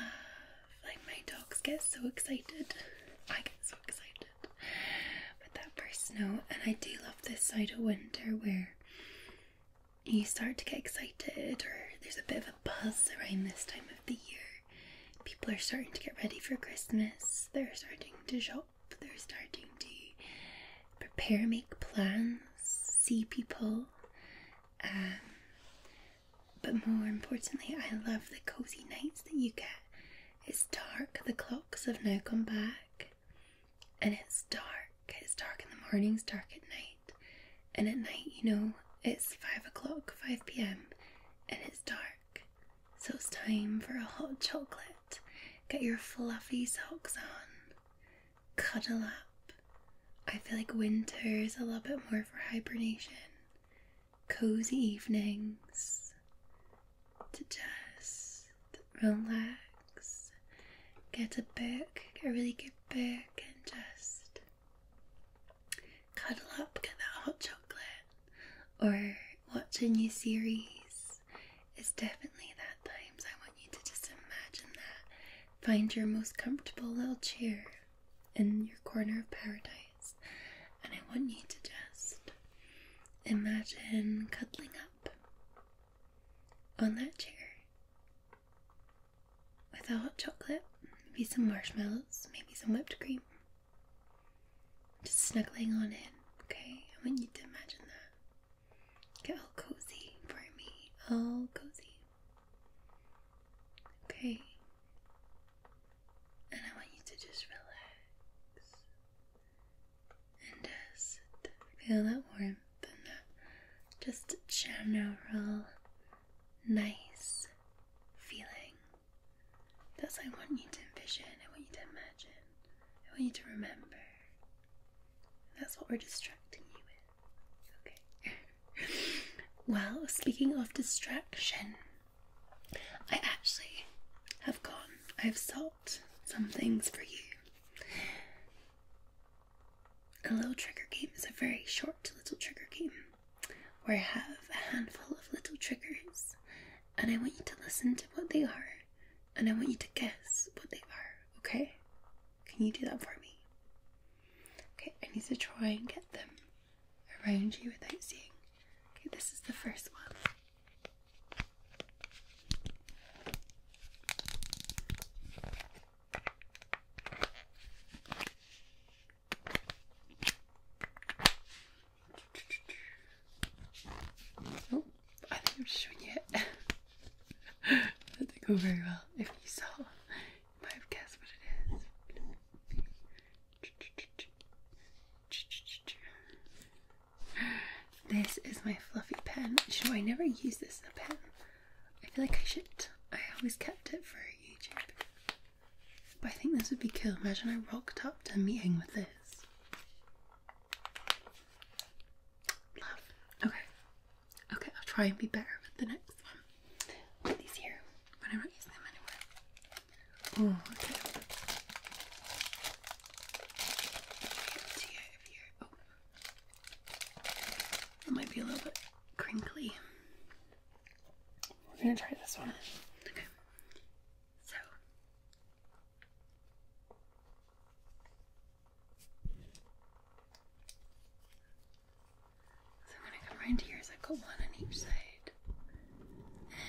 Speaker 1: like, my dogs get so excited. I get so excited. But that first snow, and I do love this side of winter where you start to get excited, or there's a bit of a buzz around this time of the year. People are starting to get ready for Christmas, they're starting to shop shop. They're starting to prepare, make plans, see people. Um, but more importantly, I love the cozy nights that you get. It's dark, the clocks have now come back, and it's dark. It's dark in the mornings, dark at night, and at night, you know, it's 5 o'clock, 5 pm, and it's dark. So it's time for a hot chocolate Get your fluffy socks on. Cuddle up. I feel like winter is a little bit more for hibernation. Cozy evenings to just relax. Get a book, get a really good book, and just cuddle up, get that hot chocolate, or watch a new series it's definitely that time. I want you to just imagine that. Find your most comfortable little chair in your corner of paradise. And I want you to just imagine cuddling up on that chair with a hot chocolate, maybe some marshmallows, maybe some whipped cream. Just snuggling on in, okay? I want you to imagine that. Get all cozy for me. All cozy. Okay. And I want you to just relax. And just feel that warmth and that just general nice feeling. That's what I want you to envision. I want you to imagine. I want you to remember. That's what we're distracting you with. Okay. well, speaking of distraction, I actually have got I've sought some things for you. A little trigger game is a very short little trigger game where I have a handful of little triggers and I want you to listen to what they are and I want you to guess what they are, okay? Can you do that for me? Okay, I need to try and get them around you without seeing. Okay, this is the first one. Oh, I think I'm showing it. that didn't go very well. If you saw, might have what it is. This is my fluffy pen. You I never use this as a pen. I feel like I should. I always kept it for YouTube. But I think this would be cool. Imagine I rocked up to a meeting with this. Okay. Okay, I'll try and be better with the next one. these here, but I'm not using them anywhere. Oh, mm. okay. Two here. Oh. It might be a little bit crinkly. We're gonna try this one. Okay. So so when I come around here, i got one on each side.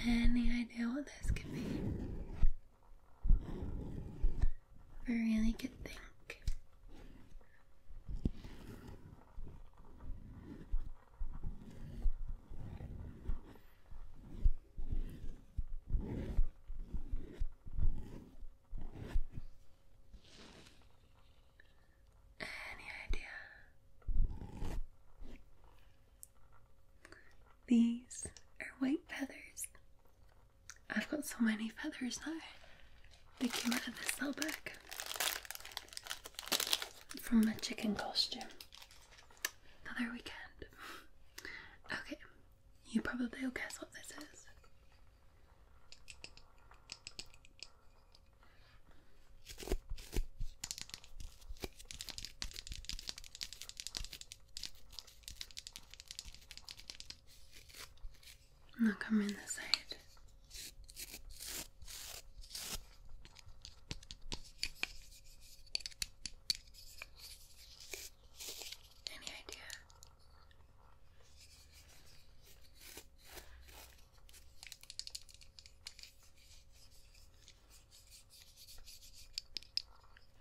Speaker 1: Any idea what this could be? I really could think. Any idea? These are white feathers. I've got so many feathers now. They came out of this little bag from my chicken costume. Another weekend. Okay, you probably will guess what this is. Now come this side. Any idea?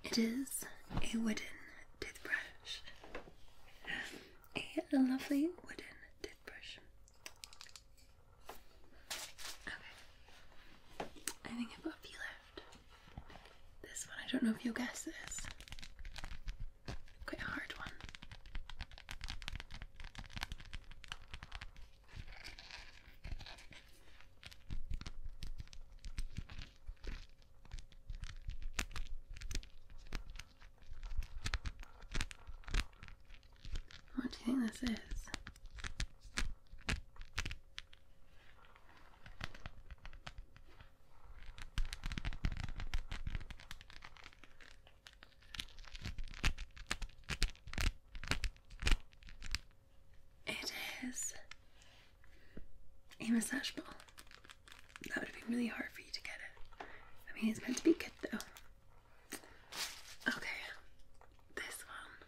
Speaker 1: It is a wooden toothbrush. A lovely wooden toothbrush. Okay. I think I've got a few left. This one, I don't know if you'll guess this. Quite a hard one. What do you think this is? It is a massage ball. That would have been really hard for you to get it. I mean, it's meant to be good though. Okay, this one.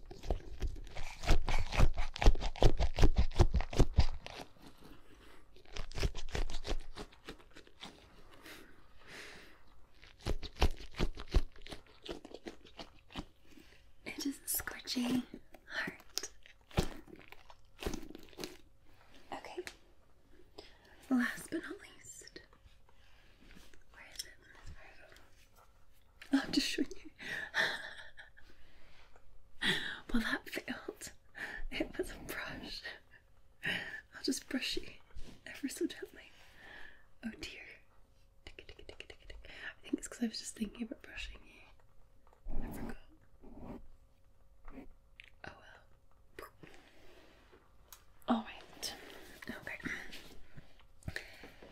Speaker 1: It is a squidgy heart. Okay. Last but not least, I'm just showing you. well, that failed. It was a brush. I'll just brush you ever so gently. Oh dear. I think it's because I was just thinking about brushing you. Oh well. Alright. Okay.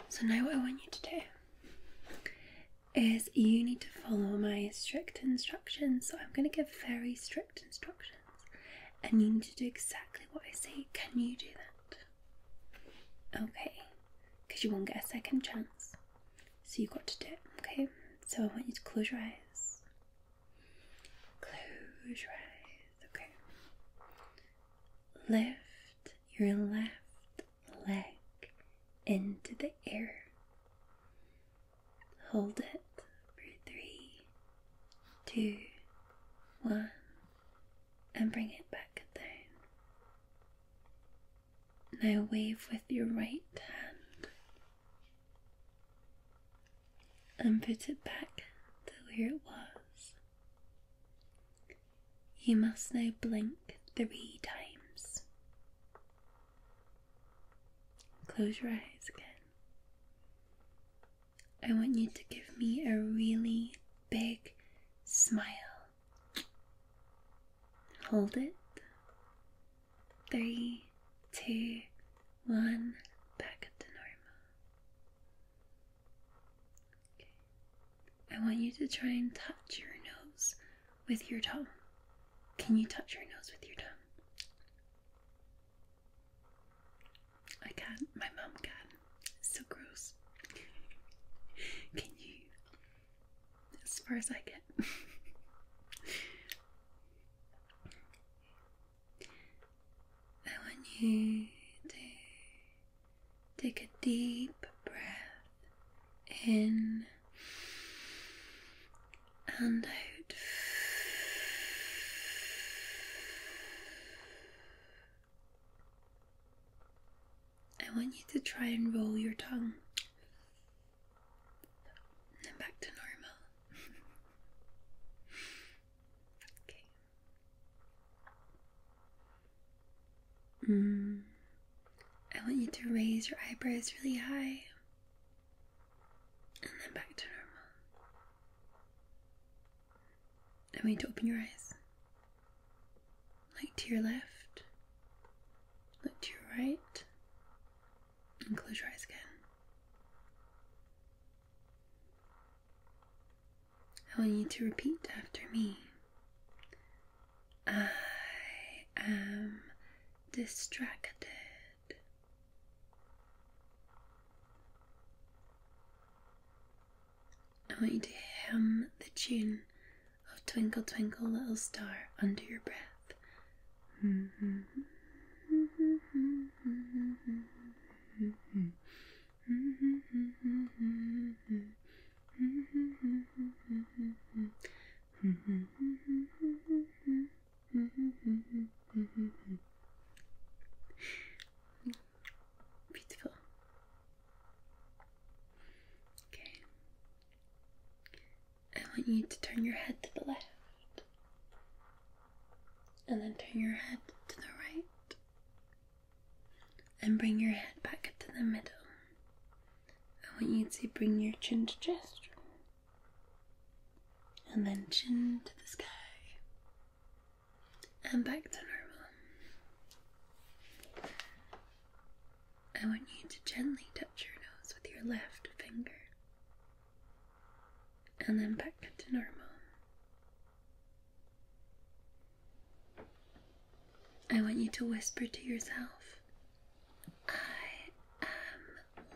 Speaker 1: So now what I want you to do is you need to follow my strict instructions. So I'm going to give very strict instructions, and you need to do exactly what I say. Can you do that? Okay, because you won't get a second chance. So you've got to do it, okay? So I want you to close your eyes. Close your eyes, okay? Lift your left leg into the air. Hold it for three, two, one, and bring it back down. Now wave with your right hand and put it back to where it was. You must now blink three times. Close your eyes again. I want you to give me a really big smile. Hold it. Three, two, one, back to normal. Okay. I want you to try and touch your nose with your tongue. Can you touch your nose with your tongue? I can't. My mum can. so gross. can you? As far as I get. I want you to Take a deep breath in and out. I want you to try and roll your tongue. And back to normal. okay. Mm. I want you to raise your eyebrows really high and then back to normal. I want you to open your eyes. Look to your left, look to your right, and close your eyes again. I want you to repeat after me. I am distracted. I want you to hum the tune of Twinkle Twinkle Little Star under your breath. Beautiful. Okay. I want you to turn your head to the left. And then turn your head to the right and bring your head back to the middle. I want you to bring your chin to chest and then chin to the sky and back to normal. I want you to gently touch your nose with your left finger and then back to normal. I want you to whisper to yourself, I am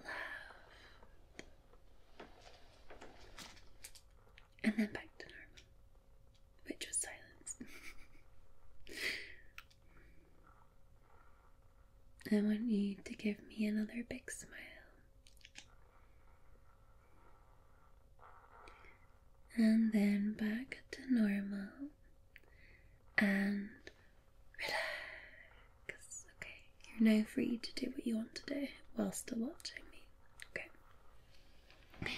Speaker 1: love," And then back to normal, which was silence. I want you to give me another big smile. And then back to normal and relax. Okay, you're now free to do what you want to do while still watching me. Okay.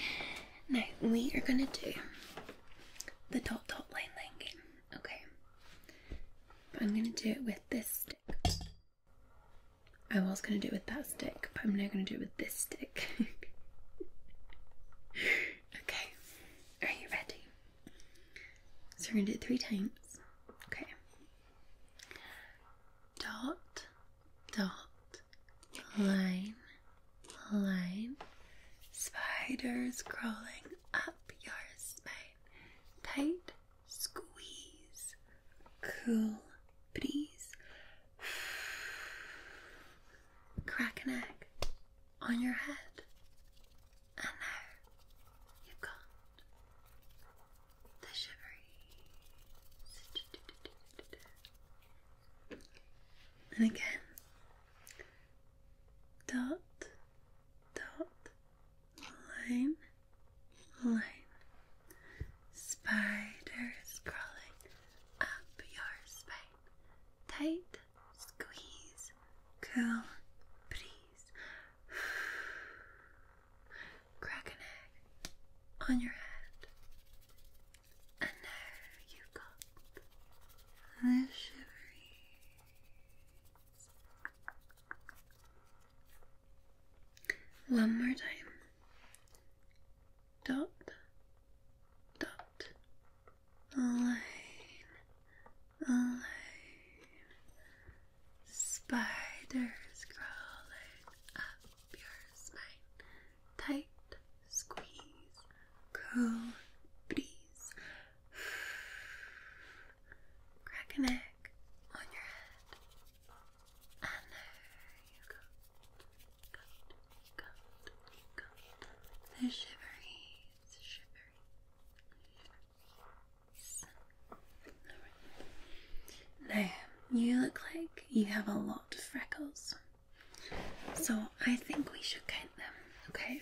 Speaker 1: Now we are gonna do the dot dot line line game. Okay. I'm gonna do it with this stick. I was gonna do it with that stick, but I'm now gonna do it with this stick. Okay, are you ready? So we're going to do it three times. Okay. Dot, dot, line, line. Spiders crawling up your spine. Tight squeeze. Cool breeze crack an egg on your head, and now you've got the shiveries. And again, dot, dot, line, line. Spiders crawling up your spine. Tight, squeeze, curl, breeze. Crack an egg on your head. And now you've got the shiveries. One more time. Dot, dot, alone, alone. Spiders crawling up your spine. Tight squeeze, cool breeze. Crack a neck on your head. And there you go good, The shiveries, shiveries. you look like you have a lot of freckles. So I think we should count them, okay?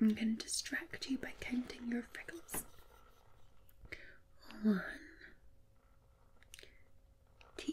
Speaker 1: I'm going to distract you by counting your freckles. One, two,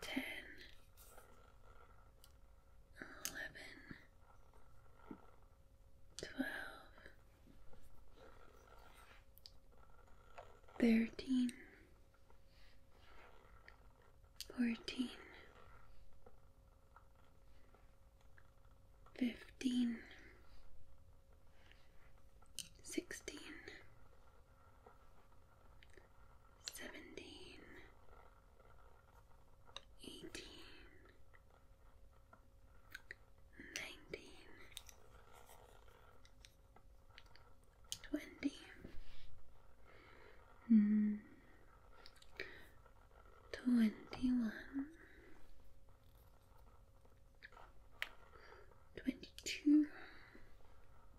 Speaker 1: ten, eleven, twelve, thirteen, fourteen, fifteen, sixteen seventeen, eighteen, nineteen, twenty. Mm. Twenty one, twenty two,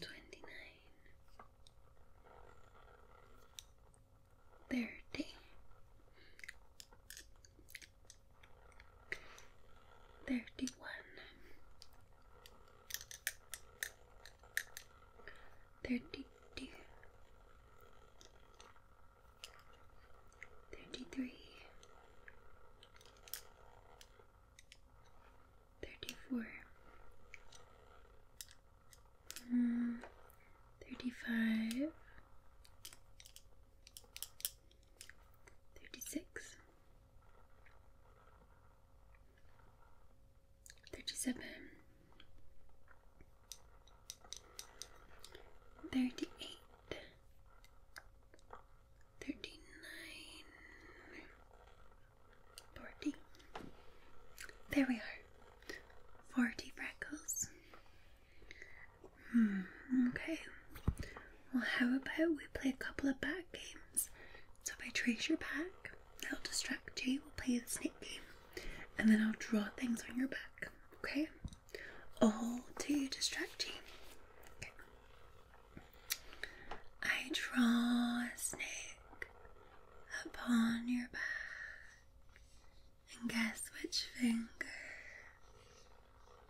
Speaker 1: twenty nine, thirty, thirty one, thirty two. Thirty three, Thirty-four. Mm, thirty-five. Thirty-six. Thirty-seven. Thirty-eight. 39, There we are. 40 freckles. Hmm, okay. Well, how about we play a couple of back games? So if I trace your back, that'll distract Jay. We'll play the snake game. And then I'll draw things on your back, okay? All to distract you. I draw a snake upon your back, and guess which finger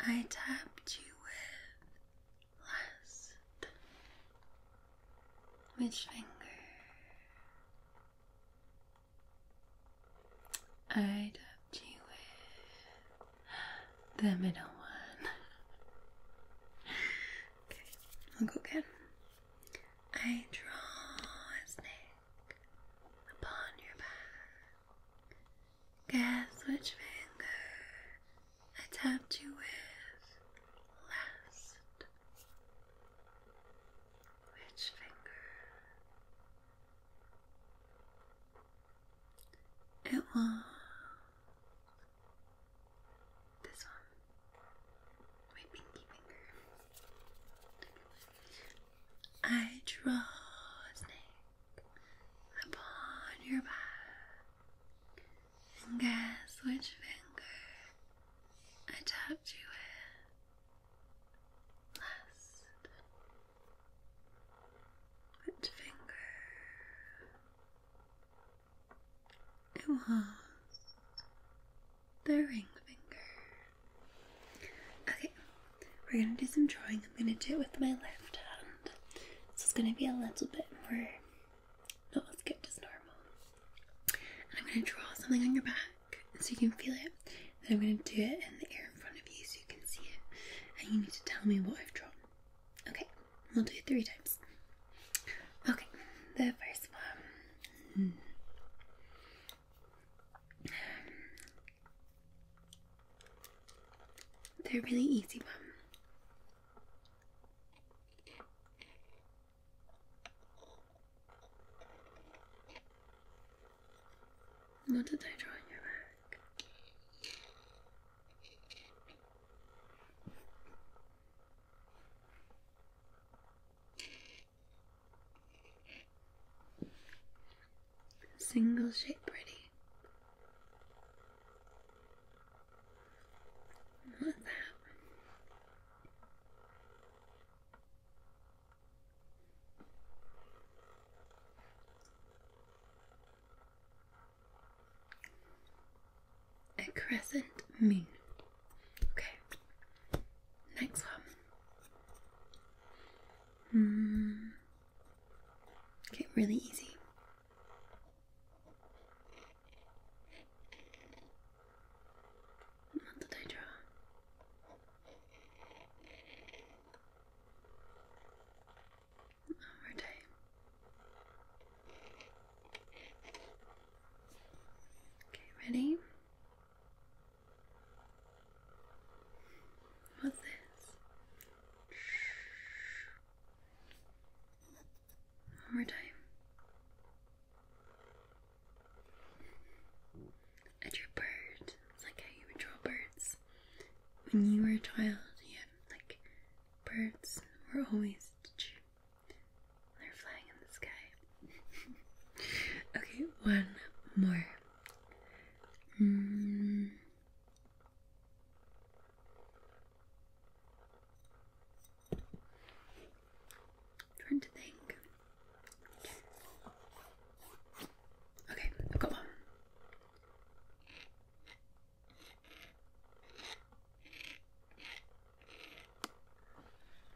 Speaker 1: I tapped you with last? Which finger? I tapped you with the middle one. Okay, I'll go again. I draw a snake upon your back. Guess which finger I tapped you with last. Which finger? It was this one. My pinky finger. I draw a snake upon your back. And guess which finger I tapped you with last. But finger. It was the ring finger. Okay, we're gonna do some drawing. I'm gonna do it with my left hand. So it's gonna be a little bit more not as good as normal. I'm gonna draw something on your back so you can feel it. Then I'm gonna do it in the air in front of you so you can see it. And you need to tell me what I've drawn. Okay, we'll do it three times. Okay, the first one. They're really easy, Mom. What did I draw in your back? Single shape pretty. What's that? A crescent moon. Okay. Next one. Okay, hmm. really easy. What did I draw? our day. Okay, ready? What's this? One more time. I drew birds. It's like how you would draw birds. When you were a child, you had like, birds were always. They're flying in the sky. okay, one more. Trying hmm. to think. Okay, I've got one.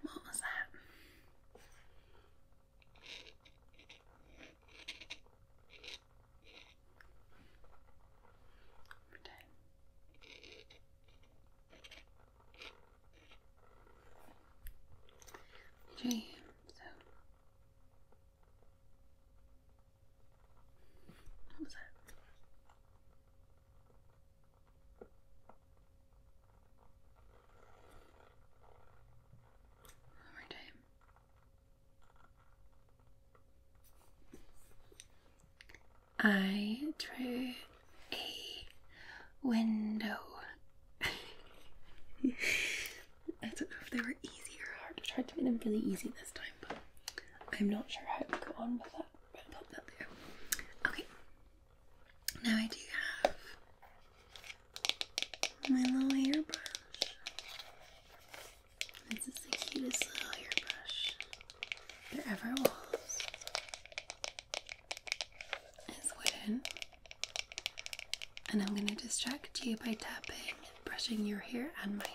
Speaker 1: What was that? Pretend. Dream, so one more time. I drew a window. I don't know if they were easy or hard. I tried to make them really easy this time. I'm not sure how to go on with that. but I'll pop that there. Okay. Now I do have my little hairbrush. This is the cutest little hairbrush there ever was. It's wooden. And I'm going to distract you by tapping, and brushing your hair and my hair.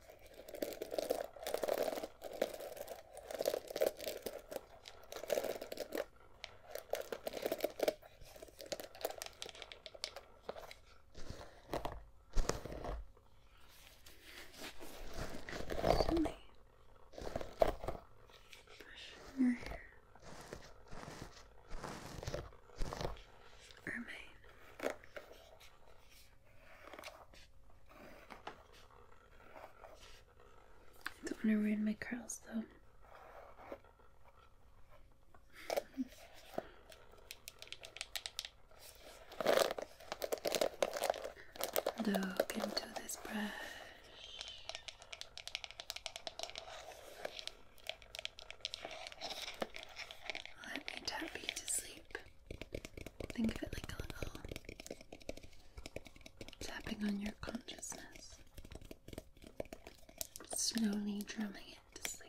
Speaker 1: Somebody brushing your hair or mine. Don't want to ruin my curls though. Look into this brush. Let me tap you to sleep. Think of it like a little tapping on your consciousness, slowly drumming it to sleep.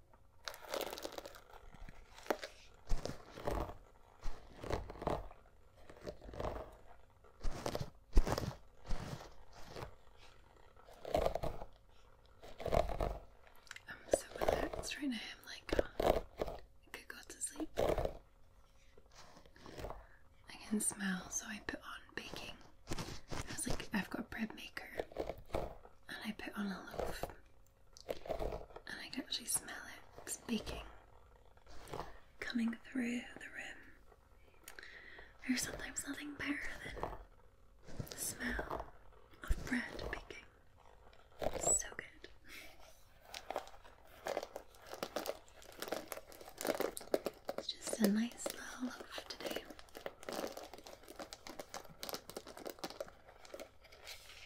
Speaker 1: I'm so relaxed right now. I'm like, oh, I could go to sleep. I can smell, so I put on baking. I was like, I've got a bread maker, and I put on a loaf and I can actually smell it speaking, coming through the room. There's sometimes nothing better than the smell of bread baking. It's so good. It's just a nice little loaf today.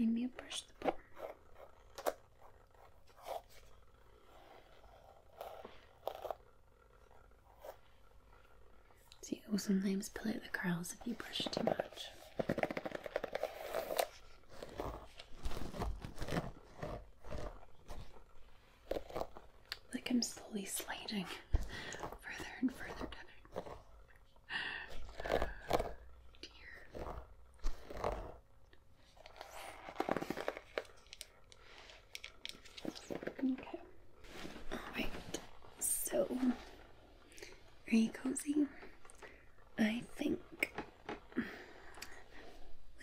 Speaker 1: Maybe you push the button. So you will sometimes play the curls if you brush too much. Like I'm slowly sliding further and further down. Okay. All right. So are you cozy? I think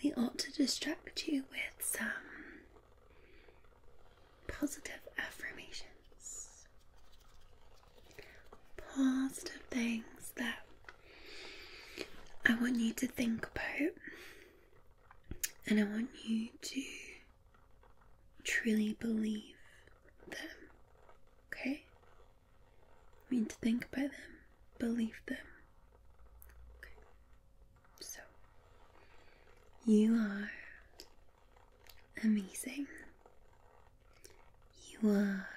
Speaker 1: we ought to distract you with some positive affirmations. Positive things that I want you to think about, and I want you to truly believe them. Okay? I mean to think by them, believe them. Okay. So, you are amazing. You are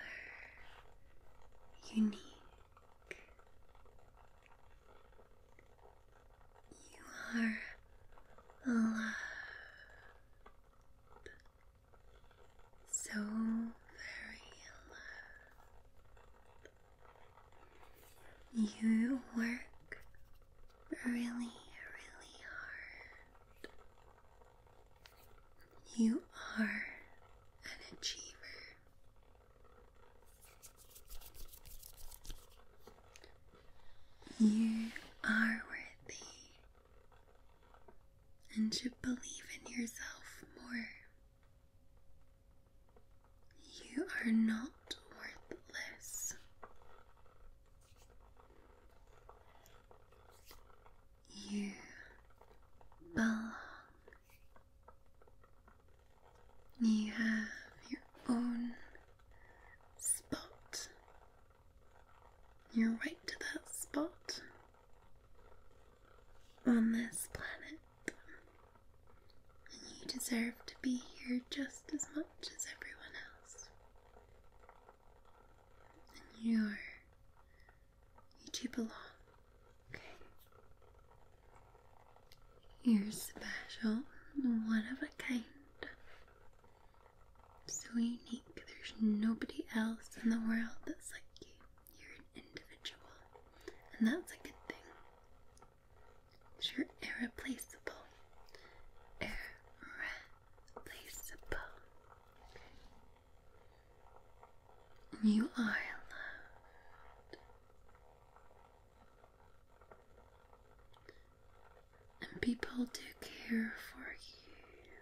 Speaker 1: unique. You are loved so very loved. You work really, really hard. You are an achiever. You are worthy and to believe in yourself more. You are not worthless. You belong. You have your own spot you're right to that spot on this planet. And you deserve to be here just as much as everyone else. And you're, you two belong, okay? You're special, one of a kind so unique. There's nobody else in the world that's like you. You're an individual, and that's a good thing. you're irreplaceable. Irreplaceable. You are loved. And people do care for you.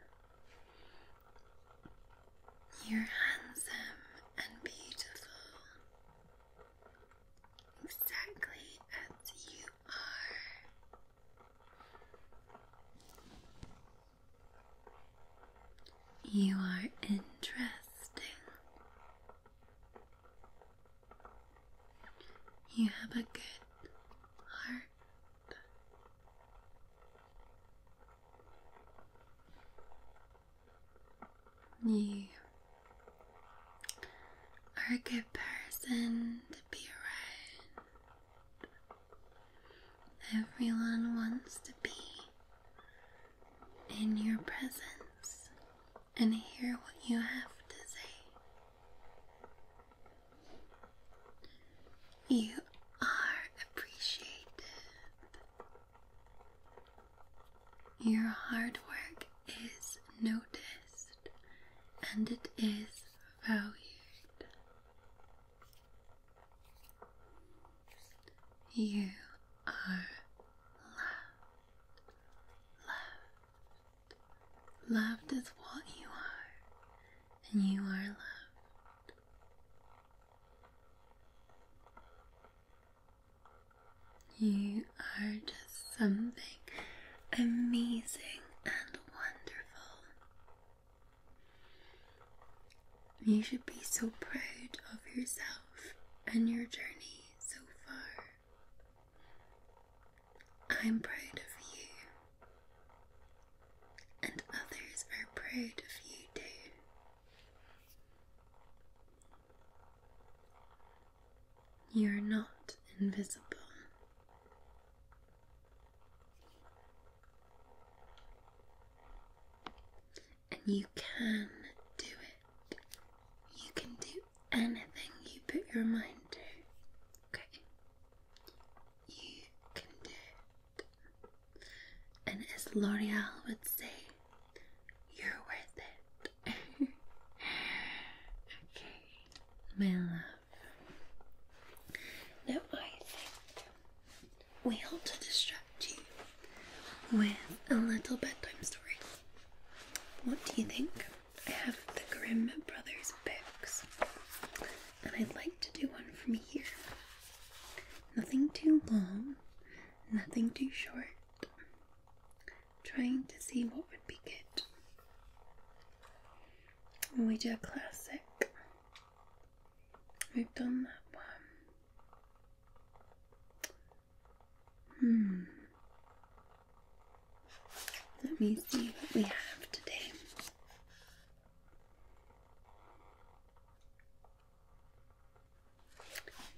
Speaker 1: You're handsome and beautiful, exactly as you are. You are interesting. You have a good heart. You are a good person to be around. Everyone wants to be in your presence and hear what you have to say. You are appreciated. Your hard work is noticed and it is valued. You are loved. Loved. Loved is what you are and you are loved. You are just something amazing and wonderful. You should be so proud of yourself and your journey so far. I'm proud of you and others are proud of you too. You are not invisible. And you can do it. You can do anything you put your mind to. Okay? you can do And as L'Oreal would say, you're worth it. okay, my love. Now I think we ought to distract you with a little bedtime story. What do you think? I have the Grimm Brothers books and I'd like to do one from here. Nothing too long, nothing too short. trying to see what would be good. we do a classic, we've done that one. Hmm. Let me see what we have today.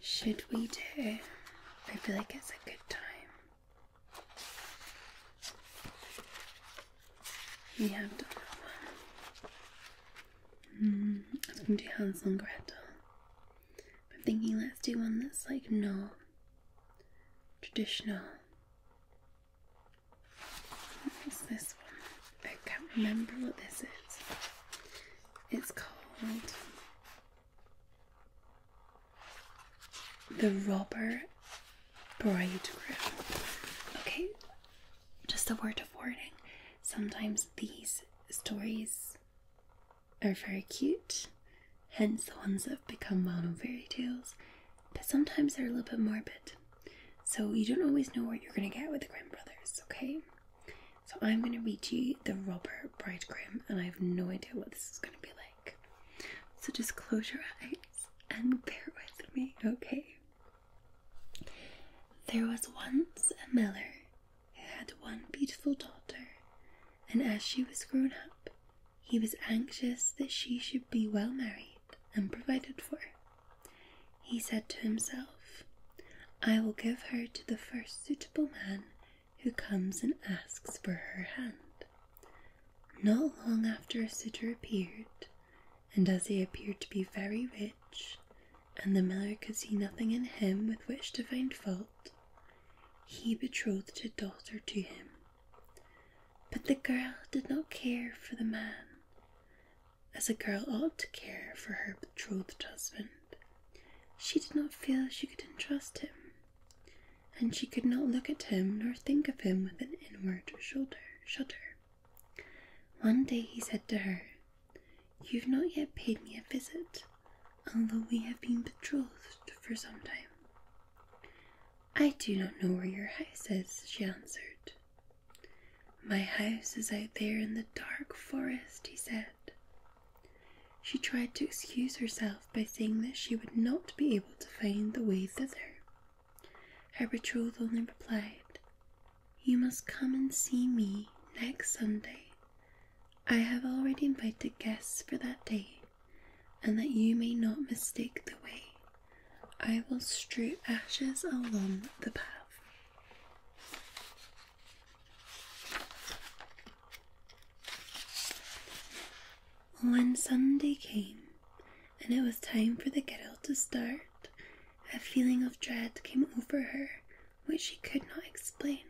Speaker 1: Should we do? I feel like it's a good time. We have done that one. Mm, I was to do Hansel and Gretel. I'm thinking let's do one that's like no traditional. What's this one? I can't remember what this is. It's called the Robber Bridegroom. Okay, just a word of warning. Sometimes these stories are very cute, hence the ones that have become mono fairy tales, but sometimes they're a little bit morbid. So you don't always know what you're going to get with the Grimm brothers, okay? So I'm going to read you the Robert Bride Grimm, and I have no idea what this is going to be like. So just close your eyes and bear with me, okay? There was once a miller who had one beautiful daughter, and as she was grown up, he was anxious that she should be well married and provided for. He said to himself, I will give her to the first suitable man who comes and asks for her hand. Not long after a suitor appeared, and as he appeared to be very rich, and the miller could see nothing in him with which to find fault, he betrothed his daughter to him. But the girl did not care for the man as a girl ought to care for her betrothed husband. She did not feel she could entrust him, and she could not look at him nor think of him with an inward shoulder shudder. One day he said to her, You've not yet paid me a visit, although we have been betrothed for some time. I do not know where your house is, she answered. My house is out there in the dark forest, he said. She tried to excuse herself by saying that she would not be able to find the way thither. Her betrothed only replied, You must come and see me next Sunday. I have already invited guests for that day, and that you may not mistake the way. I will strew ashes along the path. When Sunday came and it was time for the girl to start, a feeling of dread came over her which she could not explain,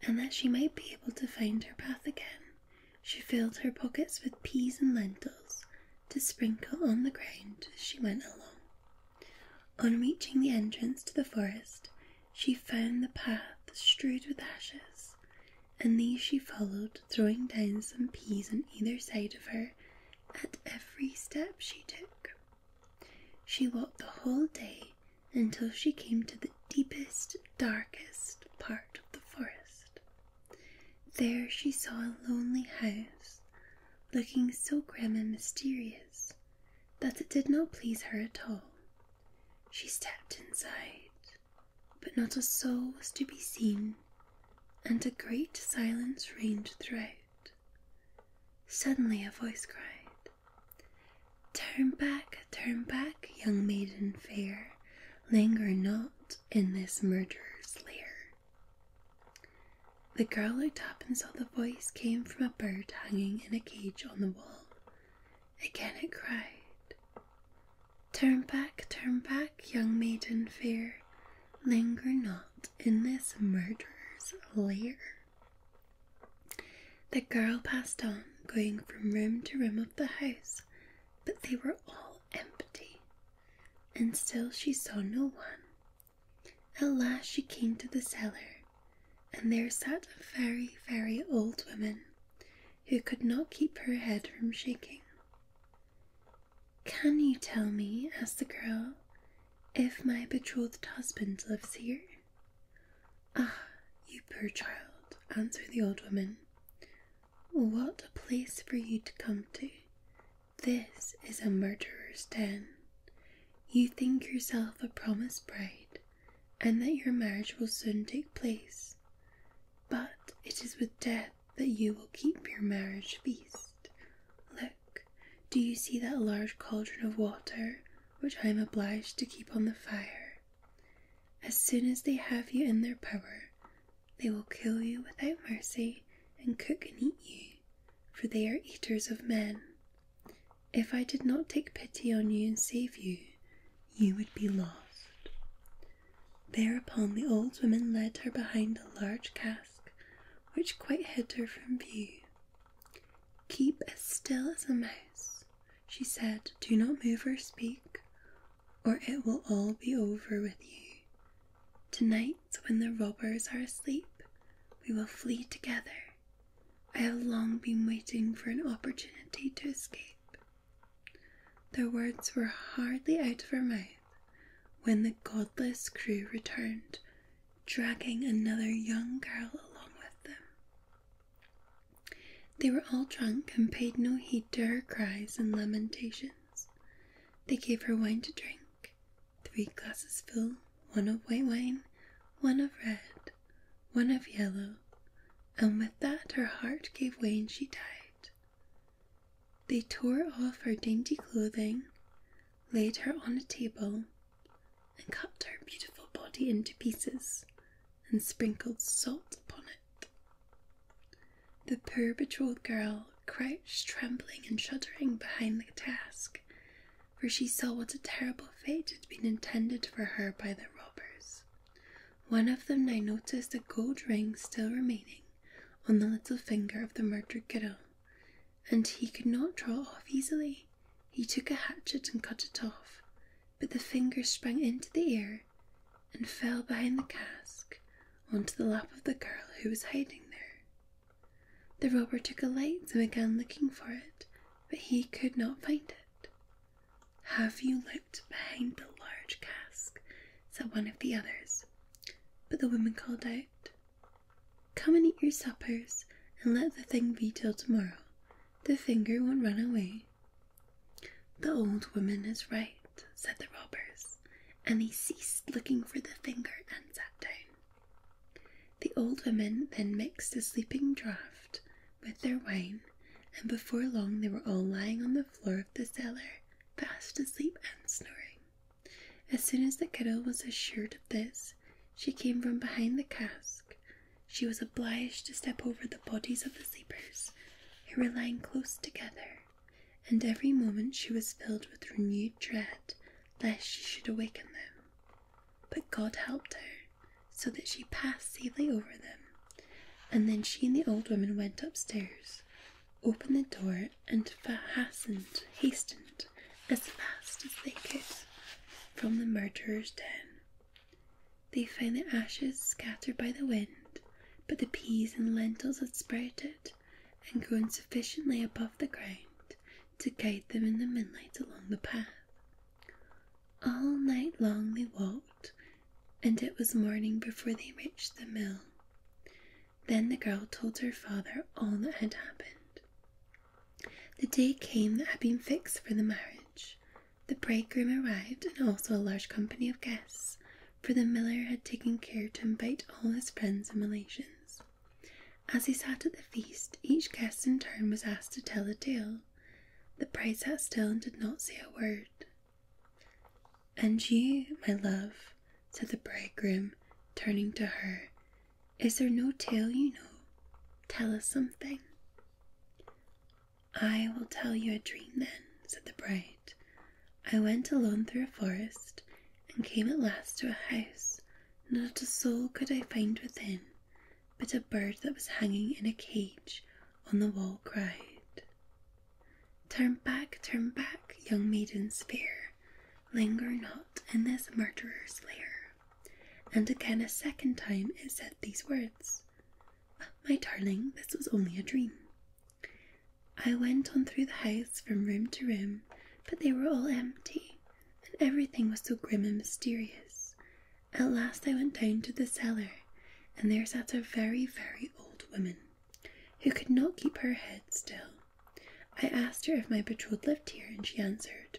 Speaker 1: and that she might be able to find her path again. She filled her pockets with peas and lentils to sprinkle on the ground as she went along. On reaching the entrance to the forest, she found the path strewed with ashes, and these she followed, throwing down some peas on either side of her at every step she took. She walked the whole day until she came to the deepest, darkest part of the forest. There she saw a lonely house, looking so grim and mysterious that it did not please her at all. She stepped inside, but not a soul was to be seen, and a great silence reigned throughout. Suddenly a voice cried, Turn back, turn back, young maiden fair, linger not in this murderer's lair. The girl looked up and saw the voice came from a bird hanging in a cage on the wall. Again it cried, Turn back, turn back, young maiden fear, linger not in this murderer's lair. The girl passed on, going from room to room of the house, but they were all empty and still she saw no one. At last she came to the cellar, and there sat a very, very old woman who could not keep her head from shaking. Can you tell me, asked the girl, if my betrothed husband lives here? Ah, you poor child, answered the old woman. What a place for you to come to! This is a murderer's den. You think yourself a promised bride, and that your marriage will soon take place, but it is with death that you will keep your marriage feast. Look, do you see that large cauldron of water which I am obliged to keep on the fire? As soon as they have you in their power, they will kill you without mercy, and cook and eat you, for they are eaters of men. If I did not take pity on you and save you, you would be lost. Thereupon the old woman led her behind a large cask, which quite hid her from view. Keep as still as a mouse, she said. Do not move or speak, or it will all be over with you. Tonight night, when the robbers are asleep, we will flee together. I have long been waiting for an opportunity to escape. Their words were hardly out of her mouth when the godless crew returned, dragging another young girl along with them. They were all drunk and paid no heed to her cries and lamentations. They gave her wine to drink, three glasses full, one of white wine, one of red, one of yellow, and with that her heart gave way and she died. They tore off her dainty clothing, laid her on a table, and cut her beautiful body into pieces, and sprinkled salt upon it. The poor betrothed girl crouched trembling and shuddering behind the cask, for she saw what a terrible fate had been intended for her by the robbers. One of them now noticed a gold ring still remaining on the little finger of the murdered girl, and he could not draw off easily. He took a hatchet and cut it off, but the finger sprang into the air and fell behind the cask onto the lap of the girl who was hiding there. The robber took a light and began looking for it, but he could not find it. Have you looked behind the large cask? said one of the others. But the woman called out, Come and eat your suppers, and let the thing be till tomorrow. The finger won't run away. The old woman is right, said the robbers and he ceased looking for the finger and sat down. The old women then mixed a sleeping draught with their wine, and before long they were all lying on the floor of the cellar, fast asleep and snoring. As soon as the kettle was assured of this, she came from behind the cask. She was obliged to step over the bodies of the sleepers, who were lying close together and every moment she was filled with renewed dread lest she should awaken them. But God helped her, so that she passed safely over them, and then she and the old woman went upstairs, opened the door, and fastened, hastened as fast as they could from the murderer's den. They find the ashes scattered by the wind, but the peas and lentils had sprouted, and growing sufficiently above the ground to guide them in the moonlight along the path. All night long they walked, and it was morning before they reached the mill. Then the girl told her father all that had happened. The day came that had been fixed for the marriage. The bridegroom arrived, and also a large company of guests for the miller had taken care to invite all his friends and relations. As he sat at the feast, each guest in turn was asked to tell a tale. The bride sat still and did not say a word. And you, my love, said the bridegroom, turning to her, is there no tale you know? Tell us something. I will tell you a dream then, said the bride. I went alone through a forest, and came at last to a house. Not a soul could I find within, but a bird that was hanging in a cage on the wall cried, Turn back, turn back, young maiden, fair, linger not in this murderer's lair. And again a second time it said these words, My darling, this was only a dream. I went on through the house from room to room, but they were all empty, and everything was so grim and mysterious. At last I went down to the cellar, and there sat a very, very old woman who could not keep her head still. I asked her if my betrothed lived here, and she answered,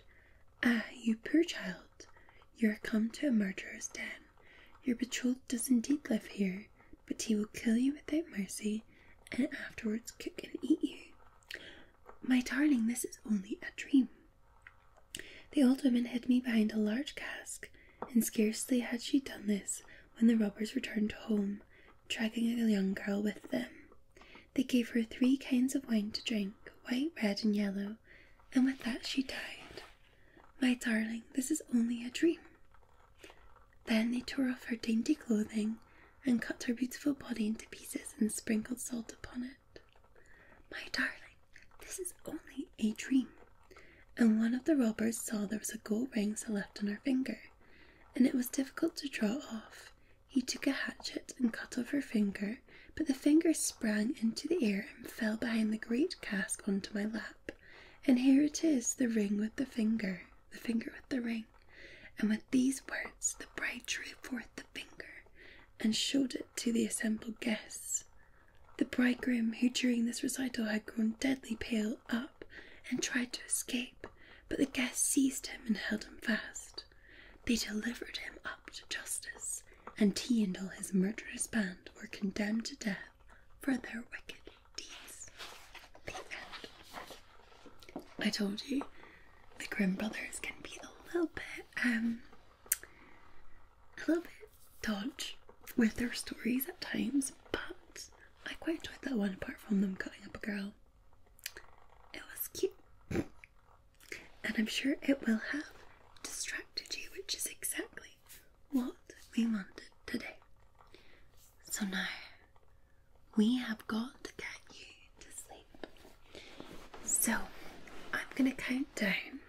Speaker 1: Ah, you poor child, you are come to a murderer's den. Your betrothed does indeed live here, but he will kill you without mercy and afterwards cook and eat you. My darling, this is only a dream. The old woman hid me behind a large cask, and scarcely had she done this when the robbers returned home, dragging a young girl with them. They gave her three kinds of wine to drink white, red, and yellow, and with that she died. My darling, this is only a dream. Then they tore off her dainty clothing and cut her beautiful body into pieces and sprinkled salt upon it. My darling, this is only a dream. And one of the robbers saw there was a gold ring still left on her finger, and it was difficult to draw off. He took a hatchet and cut off her finger, but the finger sprang into the air and fell behind the great cask onto my lap. And here it is, the ring with the finger, the finger with the ring and with these words the bride drew forth the finger and showed it to the assembled guests. The bridegroom, who during this recital had grown deadly pale, up and tried to escape, but the guests seized him and held him fast. They delivered him up to justice, and he and all his murderous band were condemned to death for their wickedness. These. I told you the Grim brothers can be a little bit, um, a little bit dodge with their stories at times, but I quite enjoyed that one apart from them cutting up a girl. It was cute. And I'm sure it will have distracted you, which is exactly what we wanted today. So now we have got to get you to sleep. So I'm going to count down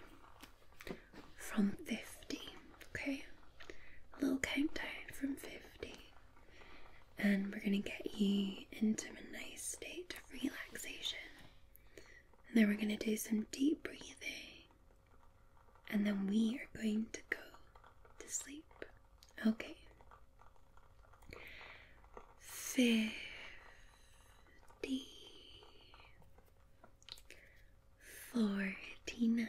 Speaker 1: from 50, okay? A little countdown from 50. And we're going to get you into a nice state of relaxation. And then we're going to do some deep breathing. And then we are going to go to sleep. Okay. Fifty forty nine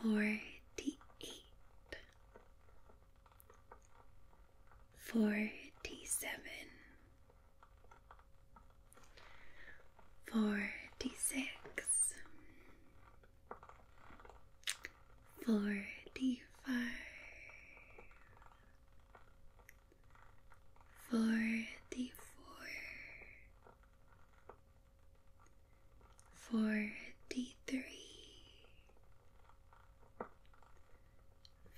Speaker 1: forty eight forty seven forty six Forty-five, forty-four, forty-three,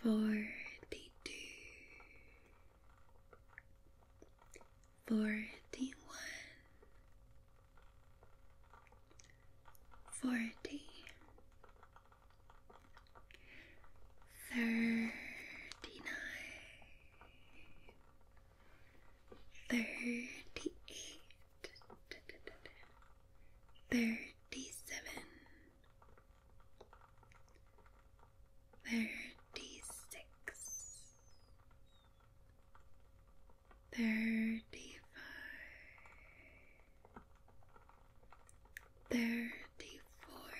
Speaker 1: forty-two, forty one, forty, thirty nine, thirty eight, thirty seven. Thirty six, thirty five, thirty four,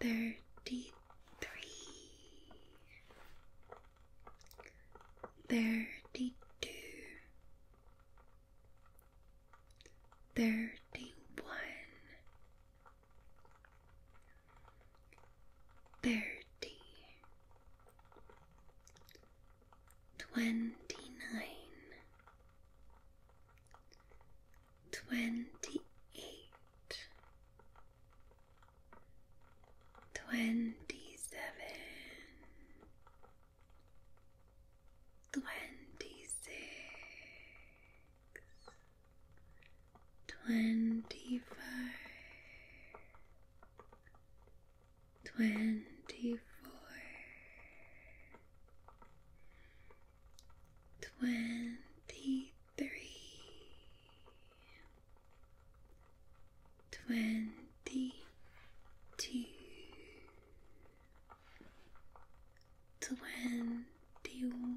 Speaker 1: thirty three, thirty two, thirty one thirty, twenty nine, twenty eight, twenty seven, twenty six twenty five, twenty four, twenty three, twenty two, twenty one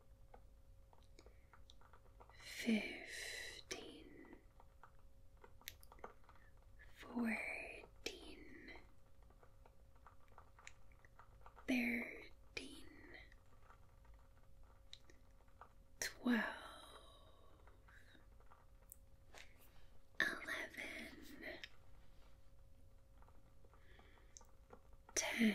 Speaker 1: fifteen, fourteen, thirteen, twelve, eleven, ten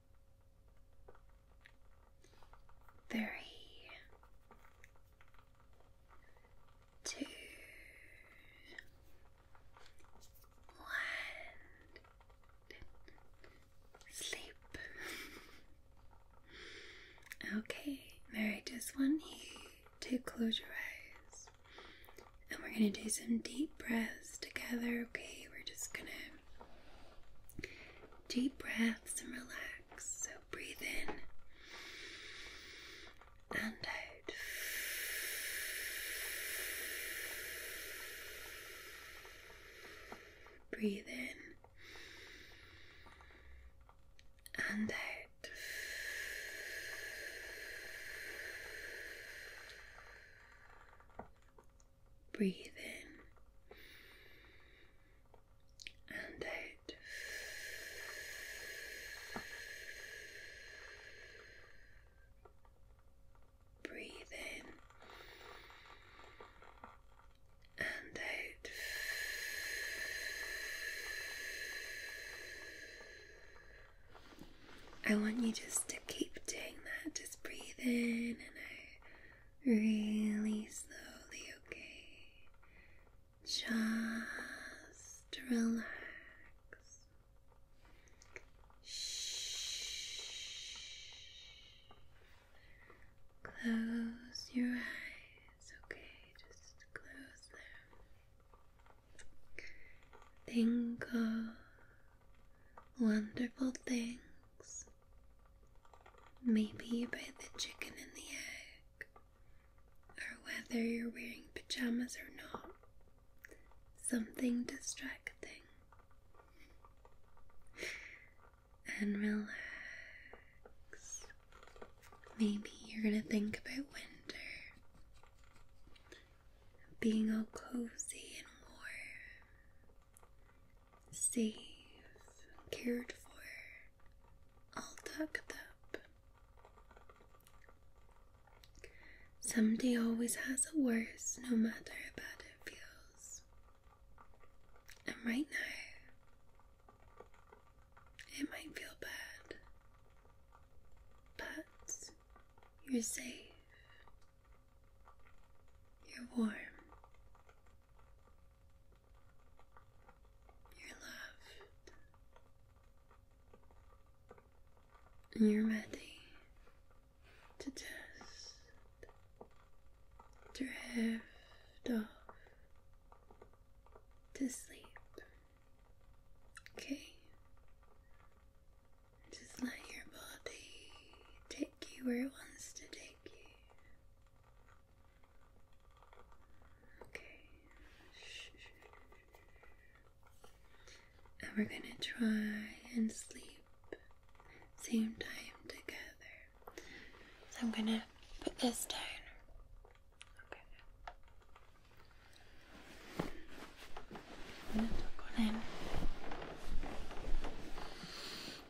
Speaker 1: three, two, one. Sleep. okay, Mary, just want you to close your eyes. And we're gonna do some deep breaths together, okay? We're just gonna deep breaths and relax. So breathe in and out. Breathe in and out. Breathe in and out. Breathe in and out. I want you just to keep doing that, just breathe in and out really slowly, okay? Just relax. Shh. Close your eyes, okay? Just close them. Think of wonderful things Maybe by the chicken and the egg, or whether you're wearing pajamas or not. Something distracting. And relax. Maybe you're gonna think about winter. Being all cozy and warm safe, cared for, all tucked up. Somebody always has a worse, no matter how bad it feels. And right now, it might feel bad, but you're safe. You're warm. You're loved. you're ready to just drift off to sleep. Okay? Just let your body take you where it wants to take Thank you. Okay. And we're gonna try and sleep same time together. So I'm gonna put this down. Okay. I'm gonna tuck on in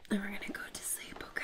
Speaker 1: and we're gonna go to sleep, okay?